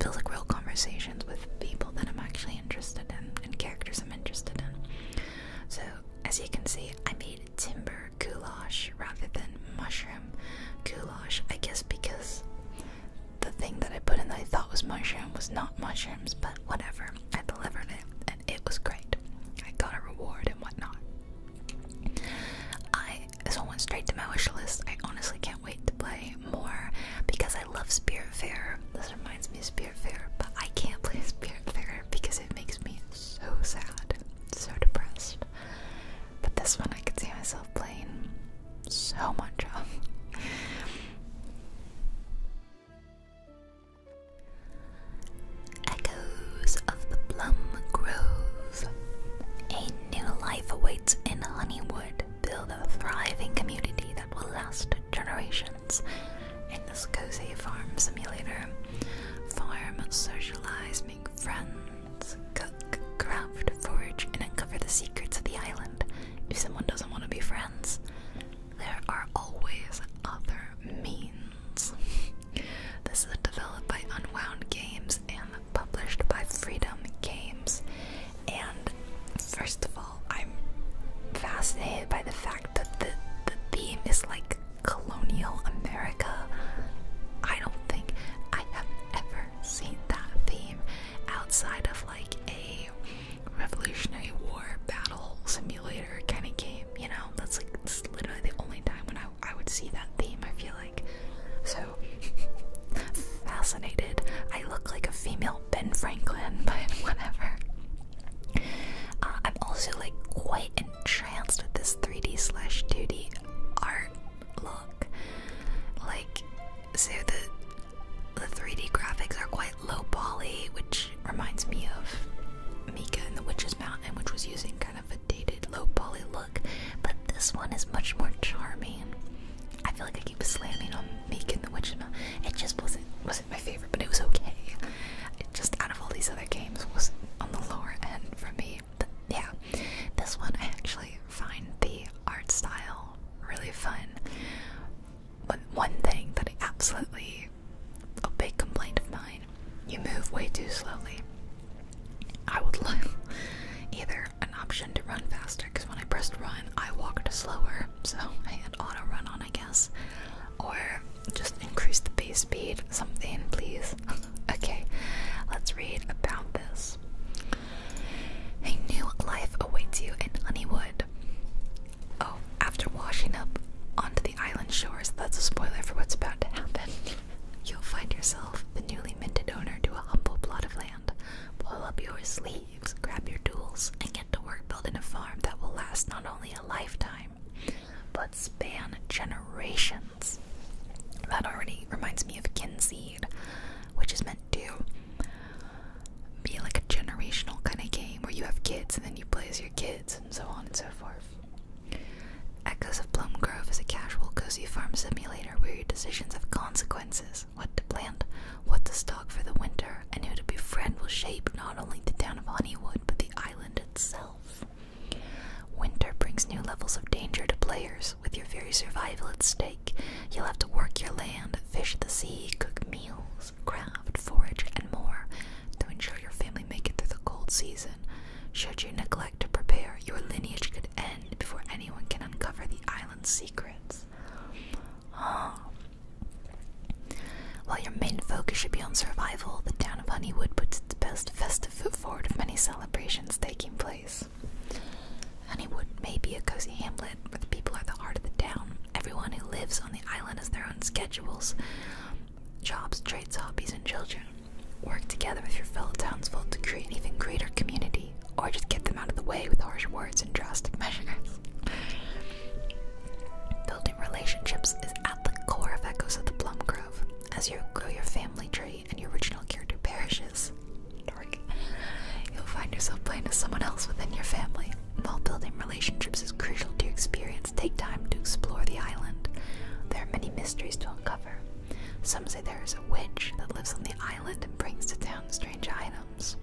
feels like real conversations with people that I'm actually interested in and characters I'm interested in. So, as you can see, I made timber goulash rather than mushroom goulash. I guess because the thing that I put in that I thought was mushroom was not mushrooms, but whatever. I delivered it, and it was great. I got a reward and whatnot. I so went straight to my wish list. I honestly can't wait to play more because I love Spirit Fair. This reminds me of Spirit Fair, but I can't play Spirit Fair because it makes me so sad, so depressed. But this one I could see myself playing so much of. Echoes of the Plum Grove. A new life awaits in Honeywood. Build a thriving community that will last generations. In this cozy farm simulator, farm, socialize, make friends, cook, craft, forage, and uncover the secrets of the island. If someone doesn't want to be friends, there are always other means. This is developed by Unwound Games and published by Freedom Games. And first of all, I'm fascinated by the fact that the, the theme is like colonial America. I don't think I have ever seen that theme outside of like a Revolutionary War battle simulator kind of game, you know? That's like that's literally the only time when I, I would see that theme, I feel like. So fascinated. I look like a female Ben Franklin, but whatever. Uh, I'm also like quite entranced with this 3D slash 2D art look. Like, so the the 3D graphics are quite low poly, which reminds me of Mika and the Witch's Mountain, which was using kind of a dated low poly look. But this one is much more charming. I feel like I keep slamming on Mika and the Witch's Mountain. It just wasn't wasn't my favorite, but it was okay. It just out of all these other games was on the lower end for me. But yeah, this one I actually find the art style really fun. But one thing that absolutely a big complaint of mine. You move way too slowly. I would like either an option to run faster because when I pressed run, I walked slower, so I had auto run on, I guess, or just increase the base speed, something, please. okay, let's read about this. A new life awaits you in Honeywood. Oh, after washing up onto the island shores, that's a spoiler for what's about to happen. You'll find yourself the newly minted owner to a humble plot of land. Pull up your sleeves, grab your tools, and get to work building a farm that will last not only a lifetime, but span generations. That already reminds me of kinseed, which is meant to be like a generational kind of game where you have kids and then you play as your kids and so on and so forth. Echoes of Plum Grove is a casual, cozy farm simulator where your decisions have consequences. What to plant, what to stock for the winter, and who to befriend will shape not only the town of Honeywood but the island itself. Winter brings new levels of danger to players. With your very survival at stake, you'll have to work your land, fish the sea, cook meals, craft, forage, and more to ensure your family make it through the cold season. Should you neglect to prepare, your lineage could end before anyone can uncover the island's secrets. While your main focus should be on survival, the town of Honeywood puts its best festive foot forward of many celebrations taking place. Honeywood may be a cozy hamlet but the people are the heart of the town, Everyone who lives on the island has their own schedules, jobs, trades, hobbies, and children. Work together with your fellow townsfolk to create an even greater community, or just get them out of the way with harsh words and drastic measures. Building relationships is at the core of Echoes of the Plum Grove. As you grow your family tree and your original character perishes, dark, you'll find yourself playing as someone else within your family. While building relationships is crucial to experience, take time to explore the island. There are many mysteries to uncover. Some say there is a witch that lives on the island and brings to town strange items.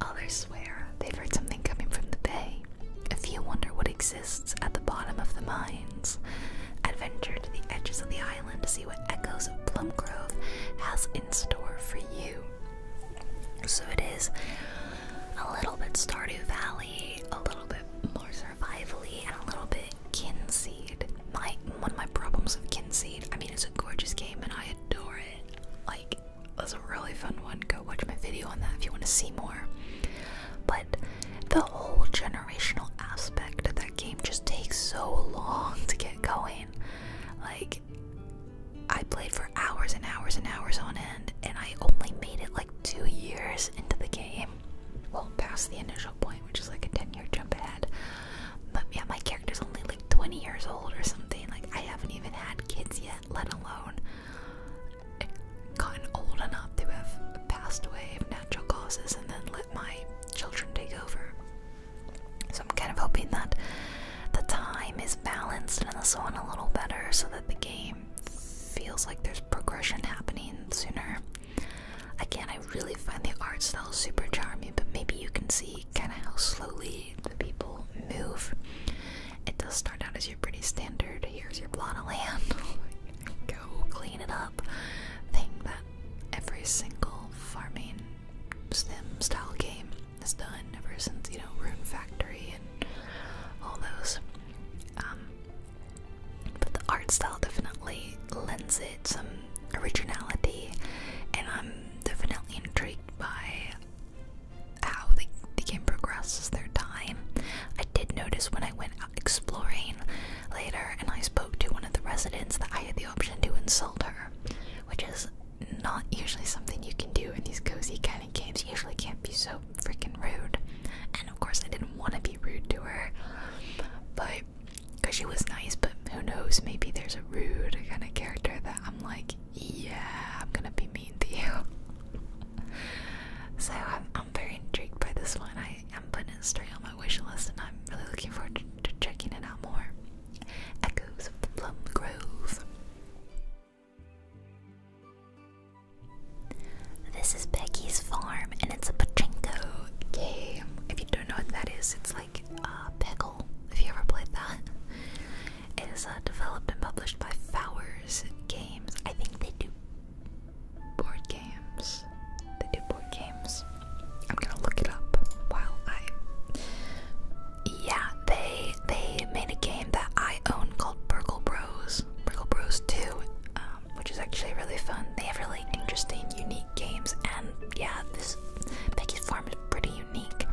Others swear they've heard something coming from the bay. A few wonder what exists at the bottom of the mines. Adventure to the edges of the island to see what Echoes of Plum Grove has in store for you. So it is a little bit Stardew Valley, a little bit more survivally, and a little bit Kinseed. My one of my problems with Kinseed, I mean it's a gorgeous game and I adore it. Like it was a really fun one. Go watch my video on that if you want to see more. But the whole generational aspect of that game just takes so long to get going. Like I played for hours and hours and hours on end, and I only made it like two years into the game. Well, past the initial point, which is like a 10 year jump ahead. But yeah, my character's only like 20 years old or something. Like, I haven't even had kids yet, let alone gotten old enough to have passed away of natural causes and then let my children take over. So I'm kind of hoping that the time is balanced and the zone a little better so that the game feels like there's progression happening sooner. Again, I really find the art style super charming, but maybe you can see kind of how slowly the people move. It does start out as your pretty standard, here's your plot of land, go clean it up thing that every single farming sim style game has done ever since you know Rune Factory and all those. Um, but the art style definitely lends it some originality, and I'm definitely intrigued by how the, the game progresses their time. I did notice when I went out exploring later and I spoke to one of the residents that I had the option to insult her, which is not usually something you can do in these cozy kind of games. You usually can't be so freaking rude. And of course, I didn't want to be rude to her, but because she was nice, but who knows? Maybe there's a rude kind of character that I'm like, yeah, I'm gonna be mean to you. so I'm, I'm very intrigued by this one. I am putting it story on my wish list, and I'm really looking forward to checking it out more. Echoes of the Plum Grove. This is Peggy's farm, and it's a pachinko game. If you don't know what that is, it's like uh, Peggle. If you ever played that, it is uh, developed and published by Fowers Games. I think they do board games. They do board games. I'm gonna look it up while I. Yeah, they they made a game that I own called Burgle Bros. Burgle Bros 2, um, which is actually really fun. They have really interesting, unique games, and yeah, this Peggy's Farm is pretty unique.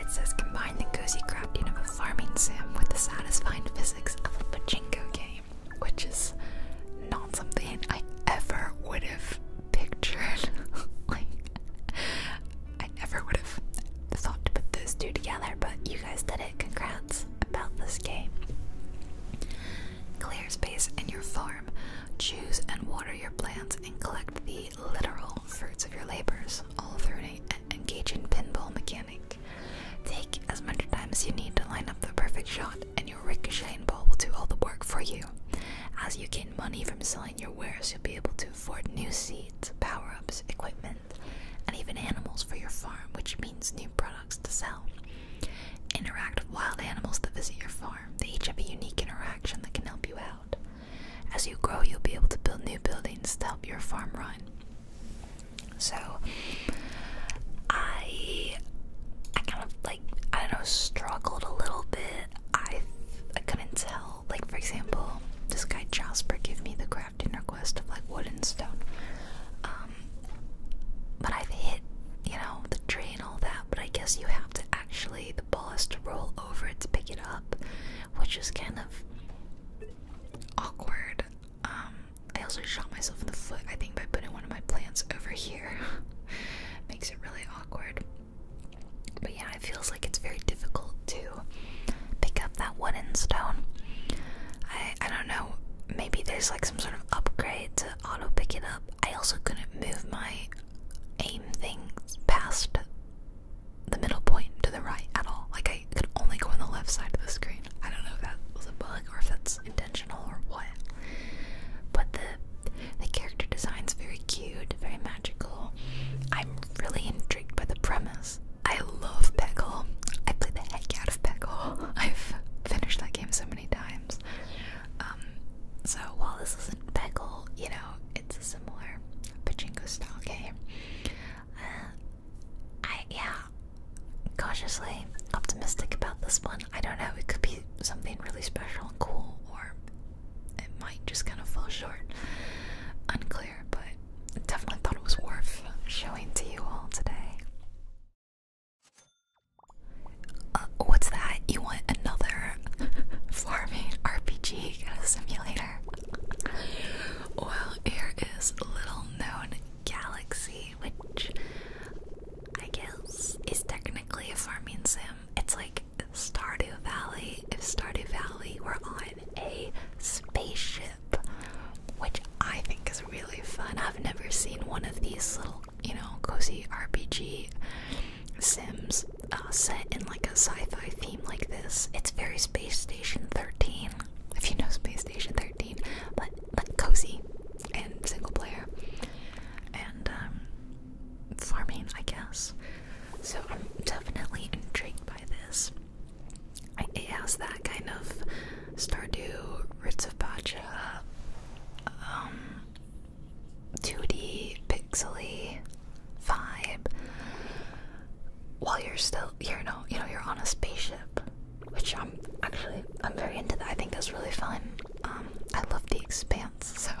It says combine the cozy crafting of a farming sim with the satisfying physics of a pachinko game, which is not something I ever would have pictured. I never would have thought to put those two together, but you guys did it. Congrats about this game. Clear space in your farm. Choose and water your plants and collect the literal fruits of your labors, all through an engaging pinball mechanic. Take as much time as you need to line up the perfect shot, and your ricocheting ball will do all the work for you. As you gain money from selling your wares, you'll be able to Afford new seeds, power ups, equipment, and even animals for your farm, which means new products to sell. Interact with wild animals that visit your farm. They each have a unique interaction that can help you out. As you grow, you'll be able to build new buildings to help your farm run. So, I, I kind of like I don't know struggled a little bit. I I couldn't tell like for example, this guy Jasper gave me the crafting request of like wood and stone. Um, but I've hit, you know, the tree and all that, but I guess you have to actually the ball to roll over to pick it up, which is kind of awkward. Um, I also shot myself in the foot, I think, by putting one of my plants over here. Makes it really awkward. But yeah, it feels like it's very difficult to pick up that wooden stone. I I don't know. Maybe there's like some sort of upgrade to auto picking up. I also couldn't move my aim things past the middle point to the right at all. Like I could only go on the left side of the screen. I don't know if that was a bug or if that's intentional or what. But the the character design's very cute, very magical. I'm really intrigued by the premise. I love Peggle. I play the heck out of Peggle. I've finished that game so many times. Um, so while this isn't Peggle, you know, it's a similar pachinko style game. Uh, I yeah, cautiously optimistic about this one. I don't know. It could be something really special and cool, or it might just kind of fall short. Unclear, but definitely thought it was worth showing to you all today. Uh, what's that? You want another farming RPG simulator? well, here is little known Galaxy, which I guess is technically a farming sim. It's like Stardew Valley if Stardew Valley were on a spaceship, which I think is really fun. I've never seen one of these little, you know, cozy RPG sims uh, set in like a sci-fi theme like this. It's very Space Station 13, if you know Space Station 13, but cozy and single player and um, farming, I guess. So I'm definitely intrigued by this it has that kind of Stardew, Ritz of Pacha, 2D, um, pixely vibe. While you're still, you know, you know, you're on a spaceship, which I'm actually, I'm very into that. I think that's really fun. Um, I love The Expanse, so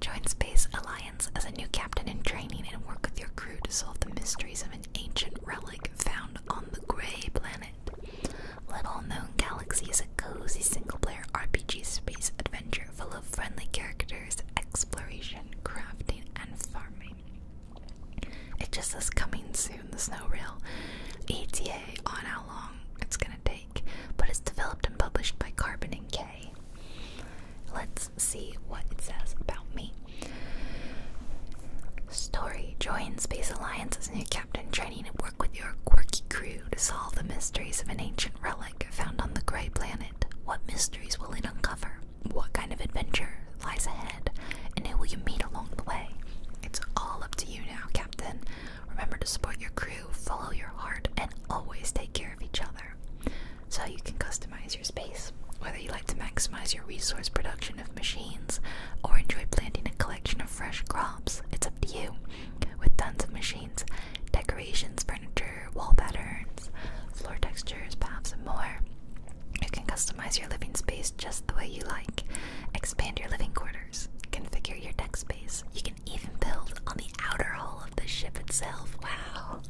join Space Alliance as a new captain in training and work with your crew to solve the mysteries of an ancient relic found on the Grey Planet. Little Known Galaxy is a cozy single player RPG space adventure full of friendly characters, exploration, crafting, and farming. It just says coming soon, the snow reel. ETA on how long it's gonna take, but it's developed and published by Carbon and K. Let's let's see what it says about me. Story Join Space Alliance as new captain, training and work with your quirky crew to solve the mysteries of an ancient relic found on the Grey Planet. What mysteries will it uncover? What kind of adventure lies ahead? And who will you meet along the way? It's all up to you now, Captain. Remember to support your crew, follow your heart, and always take care of each other so you can customize your space. Whether you like to maximize your resource production of machines or enjoy planting a collection of fresh crops, it's up to you. With tons of machines, decorations, furniture, wall patterns, floor textures, paths, and more, you can customize your living space just the way you like. Expand your living quarters, configure your deck space. You can even build on the outer hull of the ship itself. Wow.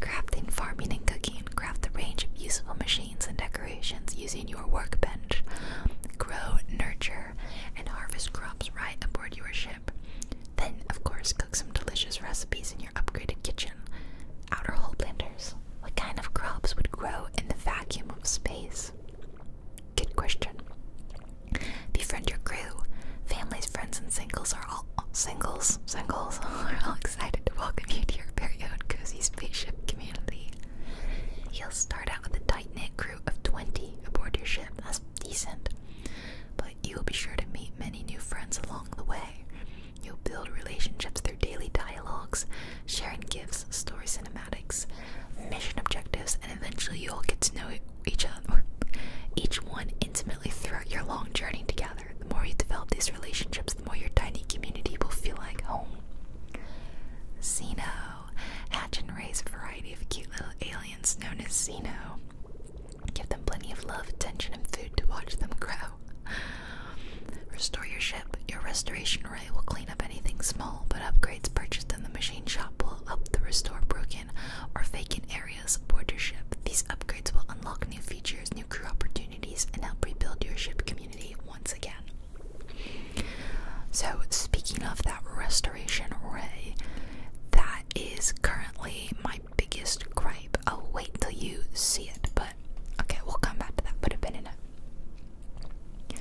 Crafting, farming and cooking. Craft a range of useful machines and decorations using your workbench. Grow, nurture, and harvest crops right aboard your ship. Then, of course, cook some delicious recipes in your upgraded kitchen. Outer hole planters. What kind of crops would grow in the vacuum of space? Good question befriend your crew. Families, friends, and singles are all singles. Singles are all excited to welcome you to your period own cozy spaceship community. You'll start out with a tight knit crew of 20 aboard your ship. That's decent. But you'll be sure to meet many new friends along the way. You'll build relationships through daily dialogues, sharing gifts, story cinematics, mission objectives, and eventually you'll get to know each other, each one intimately throughout your long journey together, the more you develop these relationships, the more your tiny community will feel like home. Xeno. Hatch and raise a variety of cute little aliens known as Xeno. Give them plenty of love, attention, and food to watch them grow. Restore your ship. Your restoration ray will clean up anything small, but upgrades purchased in the machine shop will help the restore broken or vacant areas your ship. These upgrades will unlock new features, new crew opportunities, and help rebuild your ship community once again. So, speaking of that restoration array, that is currently my biggest gripe. I'll wait till you see it, but okay, we'll come back to that. But Put a been in it.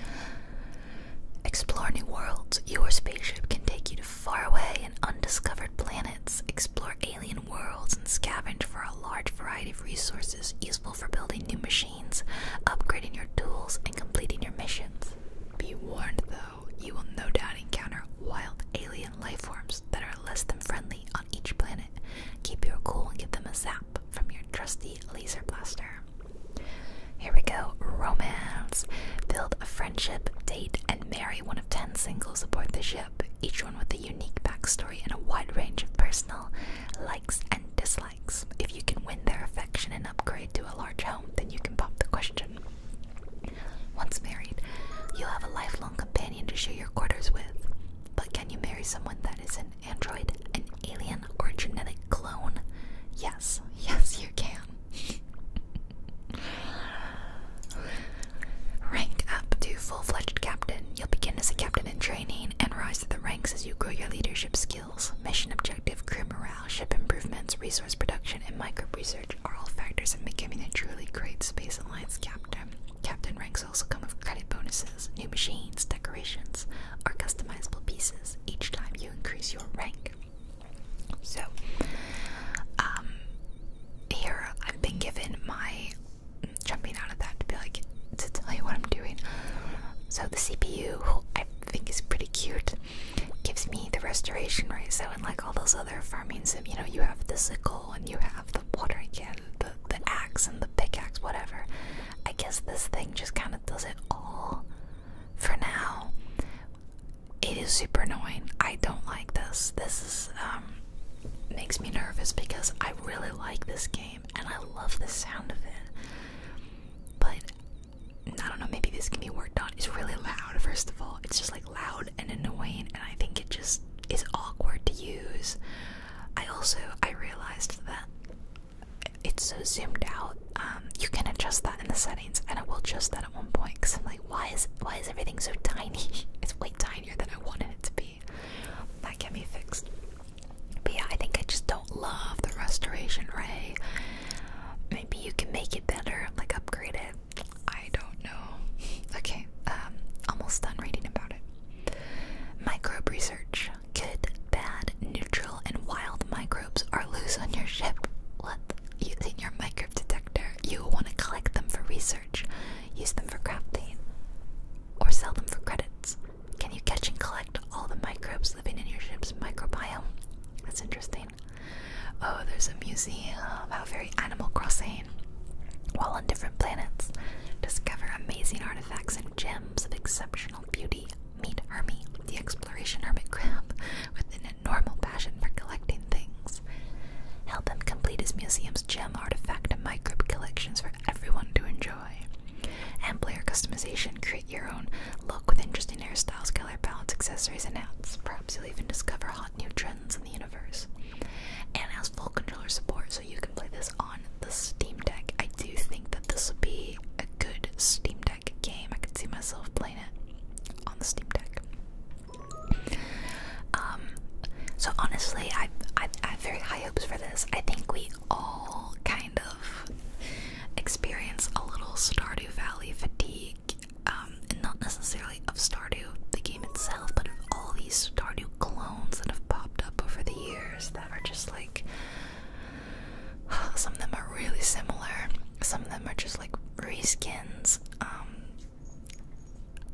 Explore new worlds. Your spaceship can take you to faraway and undiscovered planets, explore alien worlds, and scavenge for a large variety of resources useful for building new machines, upgrading your tools, and completing your missions. Be warned, though, you will no doubt encounter wild alien lifeforms that are less than friendly on each planet. Keep your cool and give them a zap from your trusty laser blaster. Here we go, romance. Build a Friendship, Date, and Marry one of 10 singles aboard the ship, each one with a unique backstory and a wide range of personal likes and dislikes. If you can win their affection and upgrade to a large home, then you can pop the question. Once married, you'll have a lifelong companion to share your quarters with. But can you marry someone that is an android, an alien, or a genetic clone? Yes, yes, you can. Rank up to full fledged captain. You'll begin as a captain in training and rise to the ranks as you grow your leadership skills. Mission objective, crew morale, ship improvements, resource production, and micro research are all factors in becoming a truly great Space Alliance captain. Captain ranks also come with credit bonuses, new machines, decorations, or customizable pieces each time you increase your rank. So, um, here I've been given my jumping out of that to be like to tell you what I'm doing. So the CPU, I think is pretty cute, gives me the restoration right. So unlike all those other farming sim, you know, you have the sickle and you have the water can, the the axe and the pickaxe, whatever. I guess this thing just kind of does it all for now it is super annoying. I don't like this. This is um makes me nervous because I really like this game and I love the sound of it. But I don't know, maybe this can be worked on. It's really loud, first of all. It's just like loud and annoying and I think it just is awkward to use. I also I realized that it's so zoomed out. Um, you can adjust that in the settings, and it will adjust that at one point because I'm like, why is why is everything so tiny? it's way tinier than I wanted it to be. That can be fixed. But yeah, I think I just don't love the restoration ray. Maybe you can make it better, like upgrade it. I don't know. Okay, um, almost done reading about it. Microbe research. Good, bad, neutral, and wild microbes are loose on your ship. What? Using your micro manuscript detector. You want to collect them for research, use them for crafting, or sell them for credits. Can you catch and collect all the microbes living in your ship's microbiome? That's interesting. Oh, there's a museum. about very Animal Crossing. While on different planets, discover amazing artifacts and gems of exceptional beauty. Meet Hermie, the exploration hermit crab, with an normal passion for collecting things. Help him complete his museum's gem artifact and microbe collections for everyone to enjoy. And player customization, create your own look with interesting hairstyles, color palettes, accessories, and hats. Perhaps you'll even discover hot new trends in the universe. And has full controller support, so you can play this on the Steam Deck. I do think that this would be a good Steam Deck game. I could see myself playing it on the Steam Deck. Um, so honestly, I, I have very high hopes for this. I think we all kind of experience a little Stardew Valley fatigue, um, and not necessarily of Stardew, the game itself, but of all these Stardew clones that have popped up over the years that are just like. Some of them are really similar. Some of them are just like reskins. Um,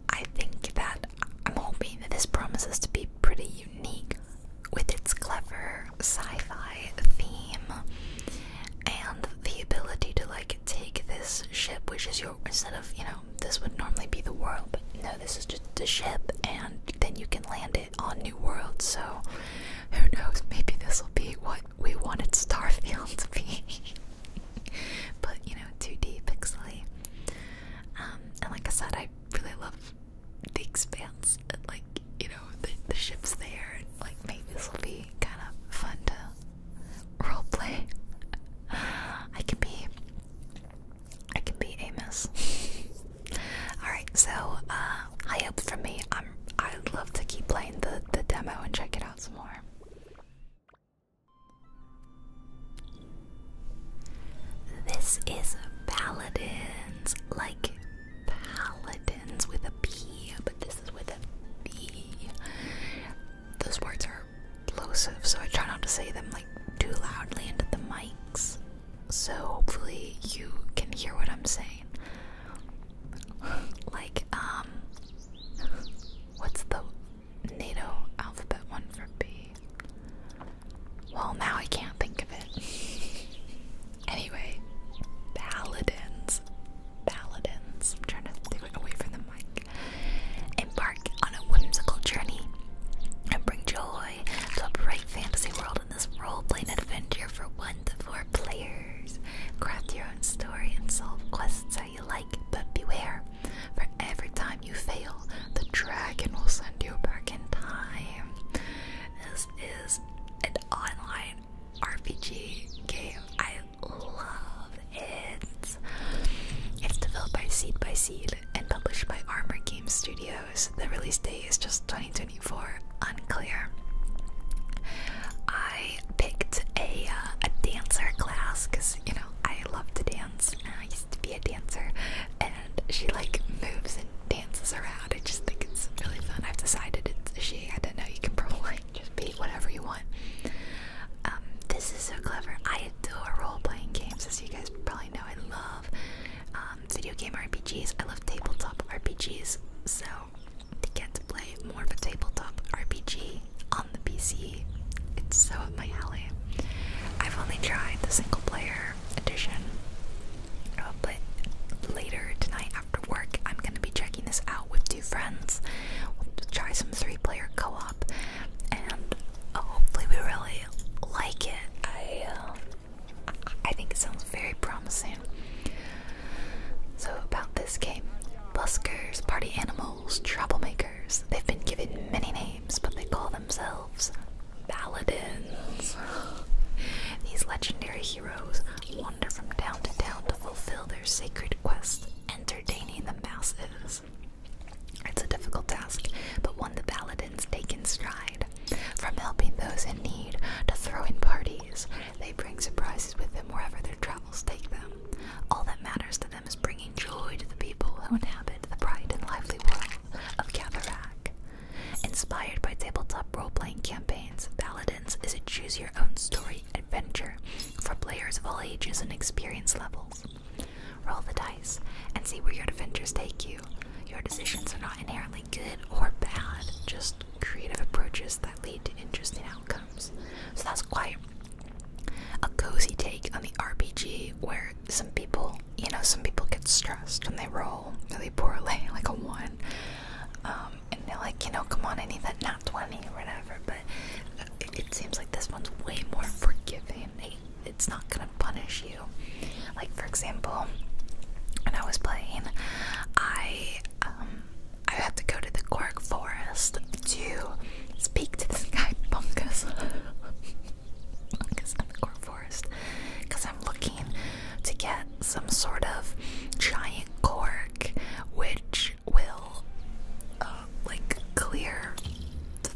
I think that I'm hoping that this promises to be pretty unique with its clever sci fi theme and the ability to like take this ship, which is your instead of you know, this would normally be the world, but no, this is just a ship, and then you can land it on New World. So, who knows? Maybe this will be what we wanted Starfield to be. but you know, 2D pixelly, um, and like I said, I really love the expanse like, you know, the, ship's there and like maybe this will be kind of fun to roleplay. I can be I can be Amos. Alright, so uh high hopes from me. I'm I'd love to keep playing the, the demo and check it out some more. This is paladins, like paladins with a P, but this is with a B. Those words are plosive, so I try not to say them like too loudly into the mics. So hopefully you can hear what I'm saying. Like, um, what's the NATO alphabet one for B. Well, now I can't think of it. anyway, paladins. Paladins. I'm trying to stay away from the mic. Embark on a whimsical journey and bring joy to a bright fantasy world in this role playing adventure for one to four players. Craft your own story and solve quests you like, but beware, for every time you fail, the dragon will send you back in time. This is an online RPG game. I love it. It's developed by Seed by Seed and published by Armor Games Studios. The release date is just 2024, unclear. I I picked a uh, a dancer class because you know I love to dance. I used to be a dancer, and she like moves and dances around. I just think it's really fun. I've decided it's she. I don't know. You can probably just be whatever you want. Um, this is so clever. I adore role playing games, as you guys probably know. I love um, video game RPGs. I love tabletop RPGs. So to get to play more of a tabletop RPG on the PC. It's so up my alley. I've only tried the single player edition, uh, but later tonight after work, I'm gonna be checking this out with two friends. We'll try some three player co op, and uh, hopefully, we really like it. I, uh, I think it sounds very promising. So, about this game Buskers, Party Animals, Troublemaker. They've been given many names, but they call themselves Paladins. These legendary heroes wander from town to town to fulfill their sacred quest, entertaining the masses. It's a difficult task, but one the Paladins take in stride. From helping those in need to throwing parties, they bring surprises with them wherever their travels take them. All that matters to them is bringing joy to the people who inhabit the bright and lively world of Cavarack. Inspired by tabletop role playing campaigns, Paladins is a choose your own story adventure for players of all ages and experience levels. Roll the dice and see where your adventures take you. Your decisions are not inherently good or bad, just creative approaches that lead to interesting outcomes. So that's quite a cozy take on the RPG where some people, you know, some people get stressed and they roll really poorly, like a one, um, and they're like, you know, come on, I need that not 20 or whatever. But it, seems like this one's way more forgiving. it's not gonna punish you. Like for example, when I was playing, I um, I had to go to the cork Forest to Speak to this guy, Bunkus. Bunkus in the Core Forest. Because I'm looking to get some sort of giant cork which will, uh, like, clear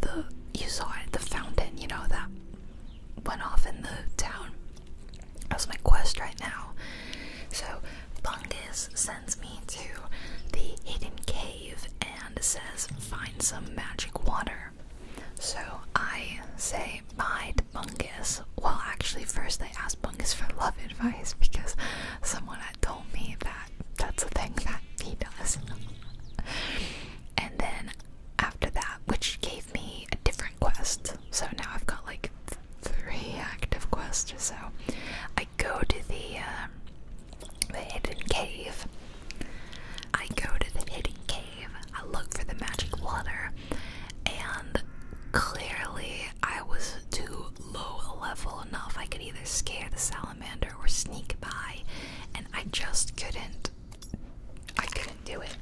the. You saw it, the fountain, you know, that went off in the town. That's my quest right now. So, Bungus sends me to the hidden cave and says, Find some magic water. So I say bye Bungus. Well, actually, first I asked Bungus for love advice because someone had told me that that's a thing that he does. and then after that, which gave me a different quest. So now I've got like three active quests so. I go to the um, the hidden cave. I go to the hidden cave. I look for the magic water, and clearly I was too low level enough. I could either scare the salamander or sneak by, and I just couldn't. I couldn't do it.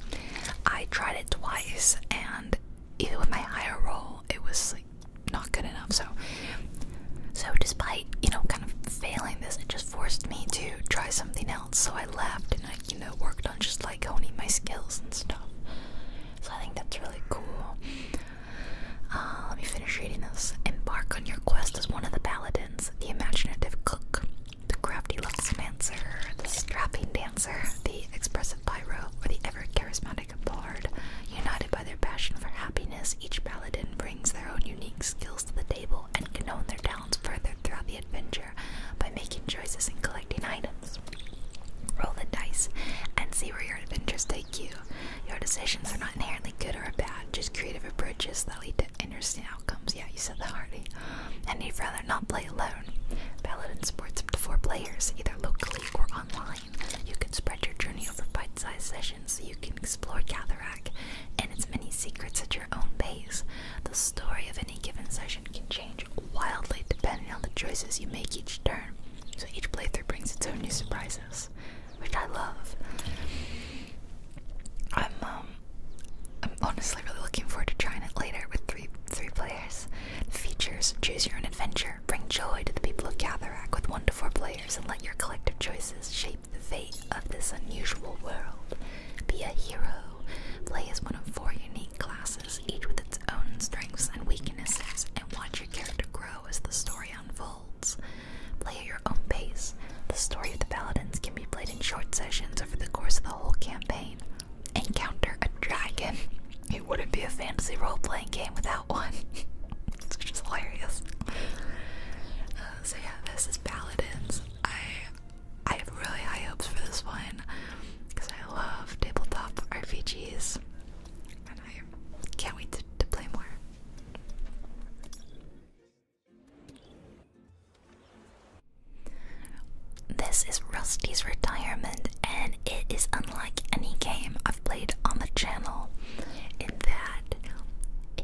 I tried it twice, and even with my higher roll, it was not good enough. So, so despite you know kind of failing this, it just forced me to try something else. So I left and I you know worked on just like honing my skills and stuff. So I think that's really cool. Uh, let me finish reading this. Embark on your quest as one of the paladins, the imaginative cook, the crafty dancer, the strapping dancer, the expressive pyro, or the ever charismatic United by their passion for happiness, each paladin brings their own unique skills to the table and can hone their talents further throughout the adventure by making choices and collecting items. Roll the dice and see where your adventures take you. Your decisions are not inherently good or bad, just creative approaches that lead to interesting outcomes. Yeah, you said that already. And you'd rather not play alone. Paladin supports up to four players, either locally or online. You can spread your journey over bite sized sessions so you can explore Cataract and its many secrets at your own pace. The story of any given session can change wildly depending on the choices you make each turn, so each playthrough brings its own new surprises, which I love. I'm um I'm honestly really looking forward to trying it later with three three players. Features: Choose your own adventure. Bring joy to the people of Cataract with one to four players and let your collective choices shape the fate of this unusual world. Be a hero. Play as one of four unique classes, each with its own strengths and weaknesses, and watch your character grow as the story unfolds. Play at your own pace. The story of the Paladins can be played in short sessions over the course of the whole campaign. Encounter a dragon. It wouldn't be a fantasy role playing game without one. It's just hilarious. Uh, so yeah, this is Paladins. I I have really high hopes for this one because I love tabletop RPGs, and I can't wait to play more. This is Rusty's Retirement, and it is unlike any game played on the channel in that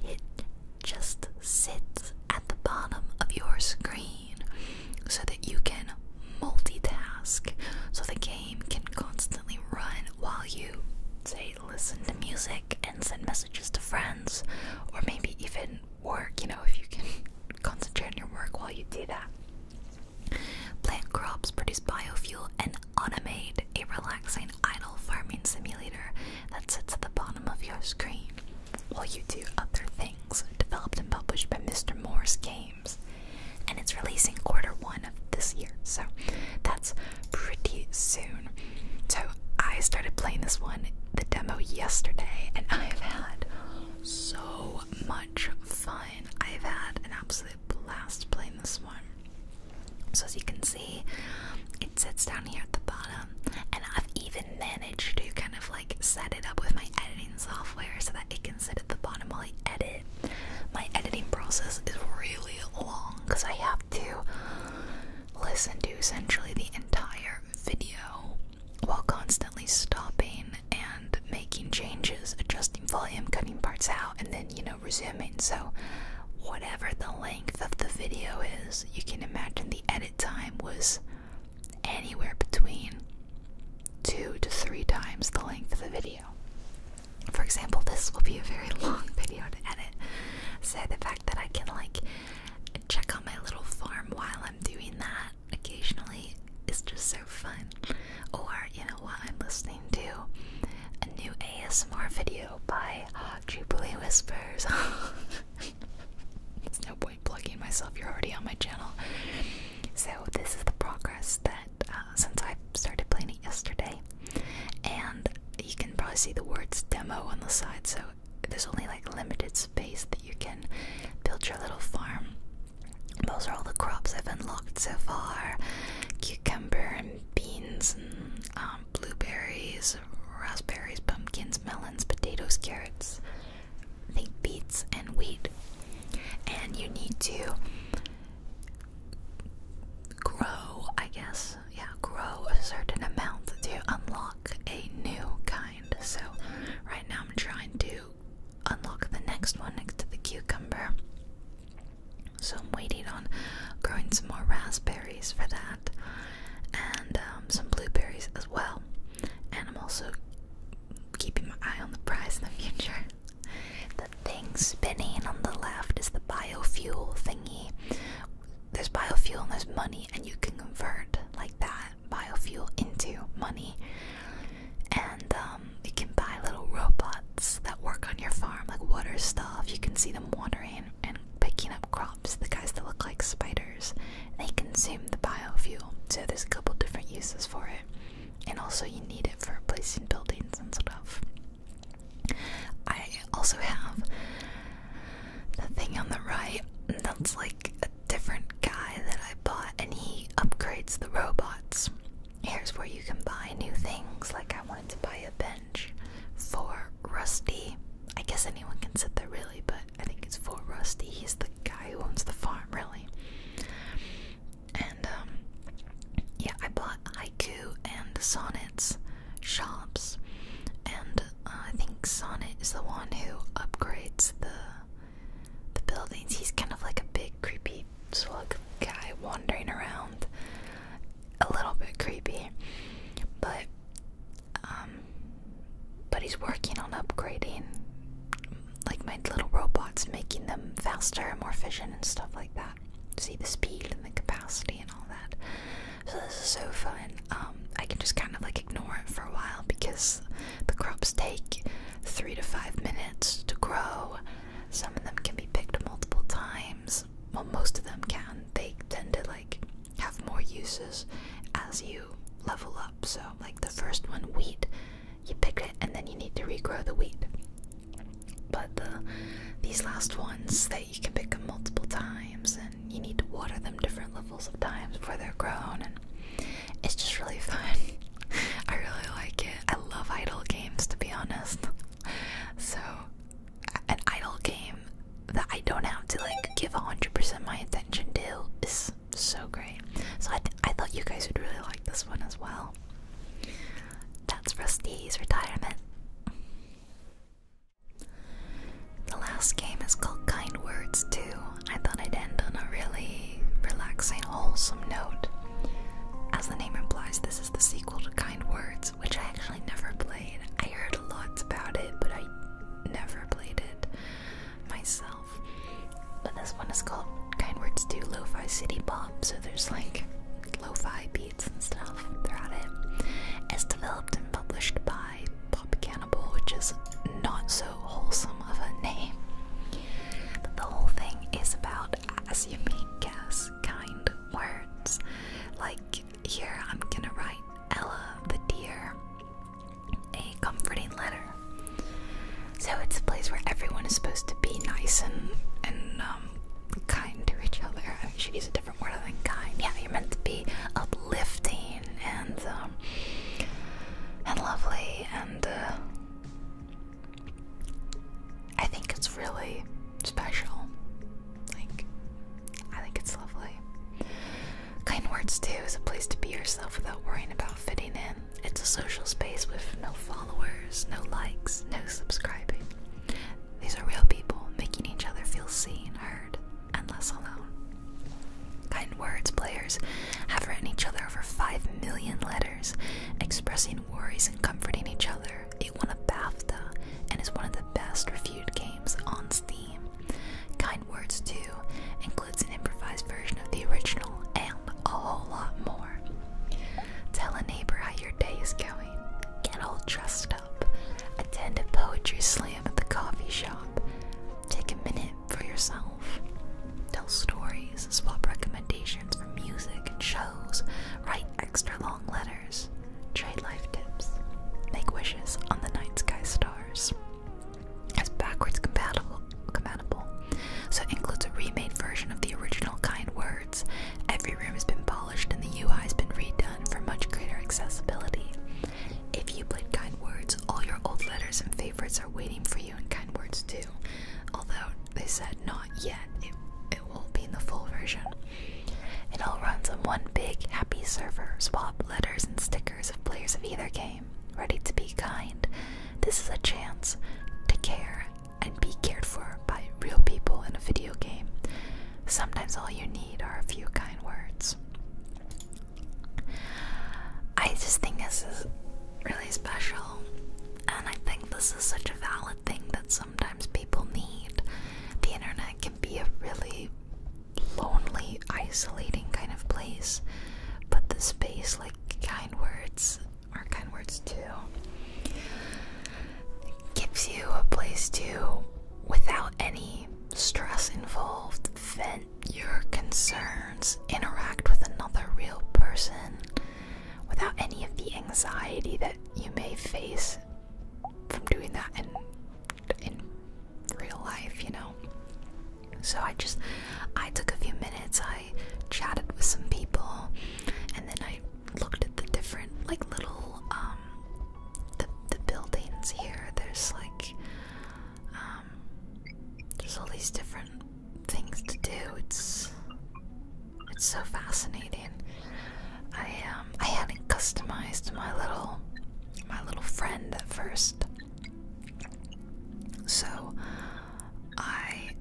it just sits at the bottom of your screen so that you can multitask so the game can constantly run while you say listen to music and send messages to friends or maybe even work you know if you can concentrate on your work while you do that plant crops produce biofuel and automate a relaxing idle farming simulator that sits at the bottom of your screen while you do other things developed and published by Mr. Moore's Games. And it's releasing quarter one of this year, so that's pretty soon. So I started playing this one, the demo, yesterday, and I have had so much fun. I've had an absolute blast playing this one. So as you can see, it sits down here at the bottom, and I've even managed to kind of like set it up with my editing software so that it can sit at the bottom while I edit. My editing process is really long because I have to listen to essentially the entire video while constantly stopping and making changes, adjusting volume, cutting parts out, and then you know resuming. So, whatever the length of the video is, you can imagine the edit time was anywhere between two to three times the length of the video. For example, this will be a very long video to edit. So, the fact that I can, like, check on my little farm while I'm doing that occasionally is just so fun. Or, you know, while I'm listening listening to a new ASMR video by Jubilee Whispers. no point plugging myself, you're already on my channel. So, this is the progress that uh, since I started playing it yesterday, and you can probably see the words demo on the side, so there's only like limited space that you can build your little farm. Those are all the crops I've unlocked so far cucumber and beans, and, um, blueberries, raspberries, pumpkins, melons, potatoes, carrots, think beets, and wheat. And you need to grow, I guess, yeah, grow a certain amount to unlock a new kind. So, right now I'm trying to unlock the next one next to the cucumber. So I'm waiting on growing some more raspberries for that, and um, some blueberries as well. And I'm also keeping my eye on the prize in the future. The thing spinning on the left is the biofuel thingy. There's biofuel and there's money, and you can convert like that biofuel into money. And um, you can buy little robots that work on your farm, like water stuff. You can see them watering and picking up crops, the guys that look like spiders. They consume the biofuel, so there's a couple different uses for it. And also, you need it for replacing buildings and stuff. I also have the thing on the right that's like a different guy that I bought, and he upgrades the robots. Here's where you can buy new things. Like, I wanted to buy a bench for Rusty. I guess anyone can sit there, really, but I think it's for Rusty. He's the guy who owns the farm, really. And, um, yeah, I bought haiku and sonnets shops. And uh, I think Sonnet is the one who upgrades the the buildings. He's kind of like a big creepy slug guy wandering around a little bit creepy, but um, but he's working on upgrading, like my little robots, making them faster and more efficient and stuff like that. See the speed and the capacity and all that. So this is so fun. Um, I can just kind of like ignore it for a while because the crops take three to five minutes to grow. Some of them can be picked multiple times well, most of them can. They tend to like have more uses as you level up. So, like the first one, wheat, you pick it and then you need to regrow the wheat. But the these last ones that you can pick them multiple times and you need to water them different levels of times before they're grown and it's just really fun. I really like it. I love idle games to be honest. So an idle game that I don't have to like give 100% my attention to is so great. So I, I thought you guys would really like this one as well. That's Rusty's retirement. The last game is called Kind Words too. I thought I'd end on a really relaxing, wholesome note. As the name implies, this is the sequel to Kind Words which I actually never played. I heard lots about it, but I never played it myself. But this one is called Kind Words 2 Lo-Fi City Pop, so there's like lo-fi beats and stuff throughout it. It's developed and published by Pop Cannibal, which is not so wholesome of a name. But the whole thing is about, as you may guess, kind words. Like here, I'm gonna write Ella the deer a comforting letter. So it's a place where everyone is supposed to be nice and and um, kind to each other. I mean, should use a different word than kind. Yeah, you're meant to be uplifting and um, and lovely and. Uh, I think it's really special. Like, I think it's lovely. Kind Words, too, is a place to be yourself without worrying about fitting in. It's a social space with no followers, no likes, no subscribing. These are real people making each other feel seen, heard, and less alone. Kind Words players have written each other over 5 million letters, expressing worries and comforting each other year, it won a BAFTA and is one of the best reviewed games on Steam. Kind Words too includes an improvised version of the original and a whole lot more. Tell a neighbor how your day is going. Get all dressed up. Attend a poetry slam at the coffee shop. Take a minute for yourself. Tell stories, swap recommendations for music and shows, write extra long letters. Trade life tips. Make wishes on the night sky stars. It's backwards compatible, so it includes a remade version of the original kind words. Every room has been polished and the UI has been redone for much greater accessibility. If you played kind words, all your old letters and favorites are waiting for you in kind words too. Although they said not yet, it, will be in the full version. It all runs on one big, happy server, swap letters and stickers of players of either game, ready to be kind. This is a chance to care and be cared for by real people in a video game. Sometimes all you need are a few kind words. I just think this is really special, and I think this is such a valid thing that sometimes people need. The internet can be a really lonely, isolating kind of place, but the space, like kind words, are kind words too, gives you a place to, without any stress involved, vent your concerns, interact with another real person without any of the anxiety that you may face from doing that in in real life, you know. So I just I took a few minutes, I chatted with some people, and then I looked at the different like little um, the the buildings here. There's like um, there's all these different things to do. It's it's so fascinating. I um I hadn't customized my little my little friend at first. So I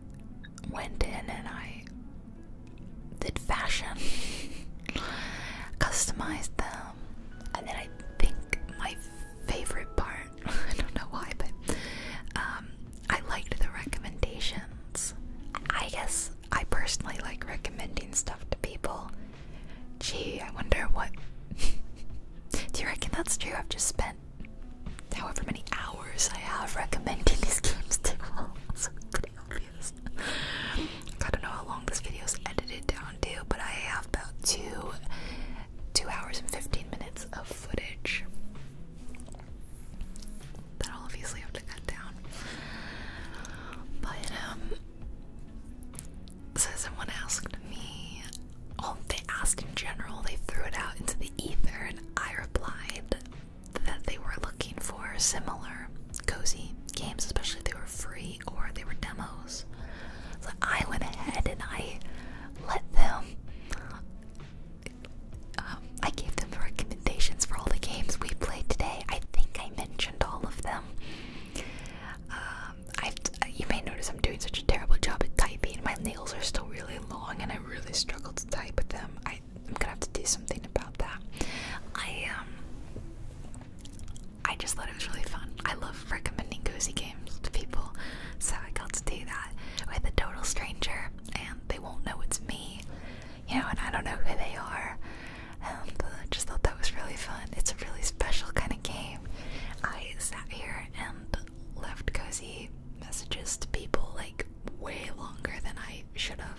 went in and I did fashion, customized them, and then I think my favorite part, I don't know why, but um, I liked the recommendations. I guess I personally like recommending stuff to people. Gee, I wonder what. Do you reckon that's true? I've just spent however many hours I have recommending these games to all. it's pretty obvious. I don't know how long this video is edited down to, but I have about two, two hours and fifteen minutes of footage that I'll obviously have to cut down. But um so someone asked me well oh, they asked in general, they threw it out into the ether and I replied that they were looking for similar cozy games, especially if they were free or they were demos. So I went ahead and I let them um, I gave them recommendations for all the games we played today. I think I mentioned all of them. Um, I've, you may notice I'm doing such a terrible job at typing. My nails are still really long, and I really struggle to type with them. I, I'm gonna have to do something about that. I um, I just thought it was really fun. I love recommending cozy games to people, so I got to do that with a total stranger, and they won't know it's me you know, and I don't know who they are. Um, I just thought that was really fun. It's a really special kind of game. I sat here and left cozy messages to people like way longer than I should have.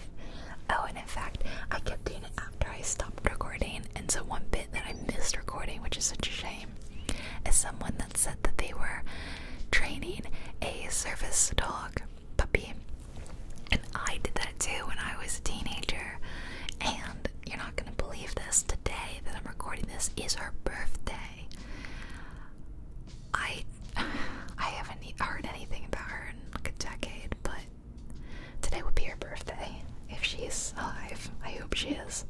Oh, and in fact, I kept doing it after I stopped recording, and so one bit that I missed recording, which is such a shame, is someone that said that they were training a service dog puppy. And I did that too when I was a teenager. And you're not gonna believe this today that I'm recording this is her birthday. I I haven't heard anything about her in like a decade, but today would be her birthday if she's alive. I hope she is.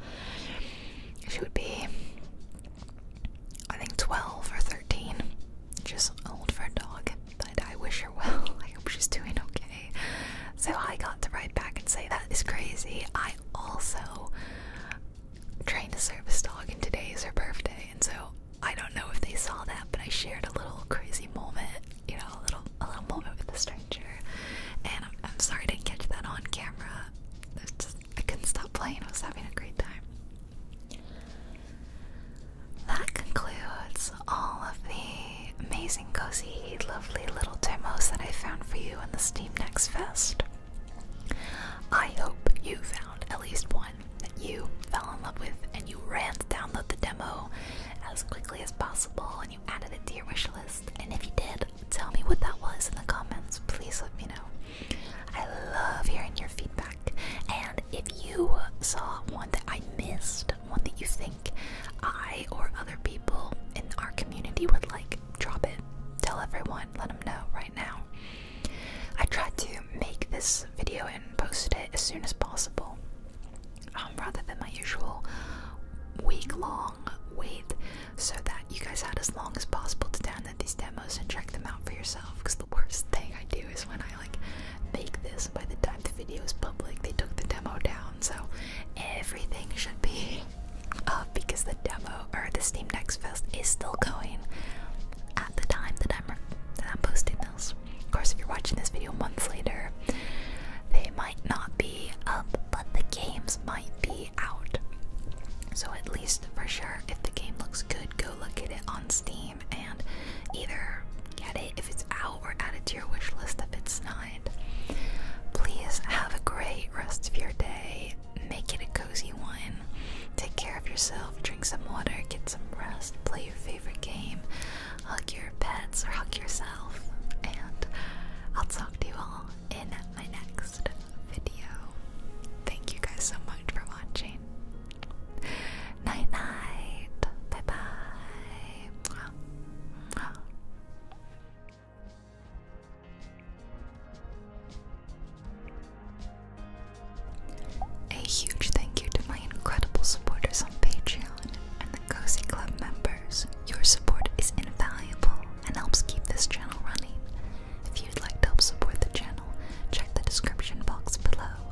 She would be I think 12 or 13. Just old for a dog, but I wish her well. I hope she's doing okay. So I got to write back and say that is crazy. I also trained a service dog, and today is her birthday, and so I don't know if they saw that, but I shared a little crazy moment, you know, a little a little moment with a stranger. And I'm, sorry I didn't catch that on camera. I couldn't stop playing. I was having a great time. That concludes all of the amazing, cozy, lovely little demos that I found for you in the Steam Next Fest. I hope you found at least one that you fell in love with and you ran to download the demo as quickly as possible and you added it to your wish list. And if you did, tell me what that was in the comments. Please let me know. I love hearing your feedback. And if you saw one that I missed, one that you think I or other people in our community would like, drop it. Tell everyone, let them know right now. I tried to make this video and posted it as soon as possible um, rather than my usual week long wait so that you guys had as long as possible to download these demos and check them out for yourself the worst thing I do is when I like make this by the time the video is public they took the demo down so everything should be up because the demo or the Steam Next Fest is still going at the time that I'm, that I'm posting this. Of course if you're watching this video months later they might not be up but the games might be out. So at least for sure if the game looks good go look at it on Steam and either get it if it's out or add it to your wish list if it's not. Please have a great rest of your day. Make it a cozy one. Take care of yourself, drink some water, get some rest, play your favorite game, hug your pets or hug yourself, and I'll talk to you all in my next video. Thank you guys so much for watching. Night night. Bye bye. A huge thank you to my incredible supporters on Patreon and the Cozy Club members. Your support is invaluable and helps keep this channel running. If you'd like to help support the channel, check the description box below.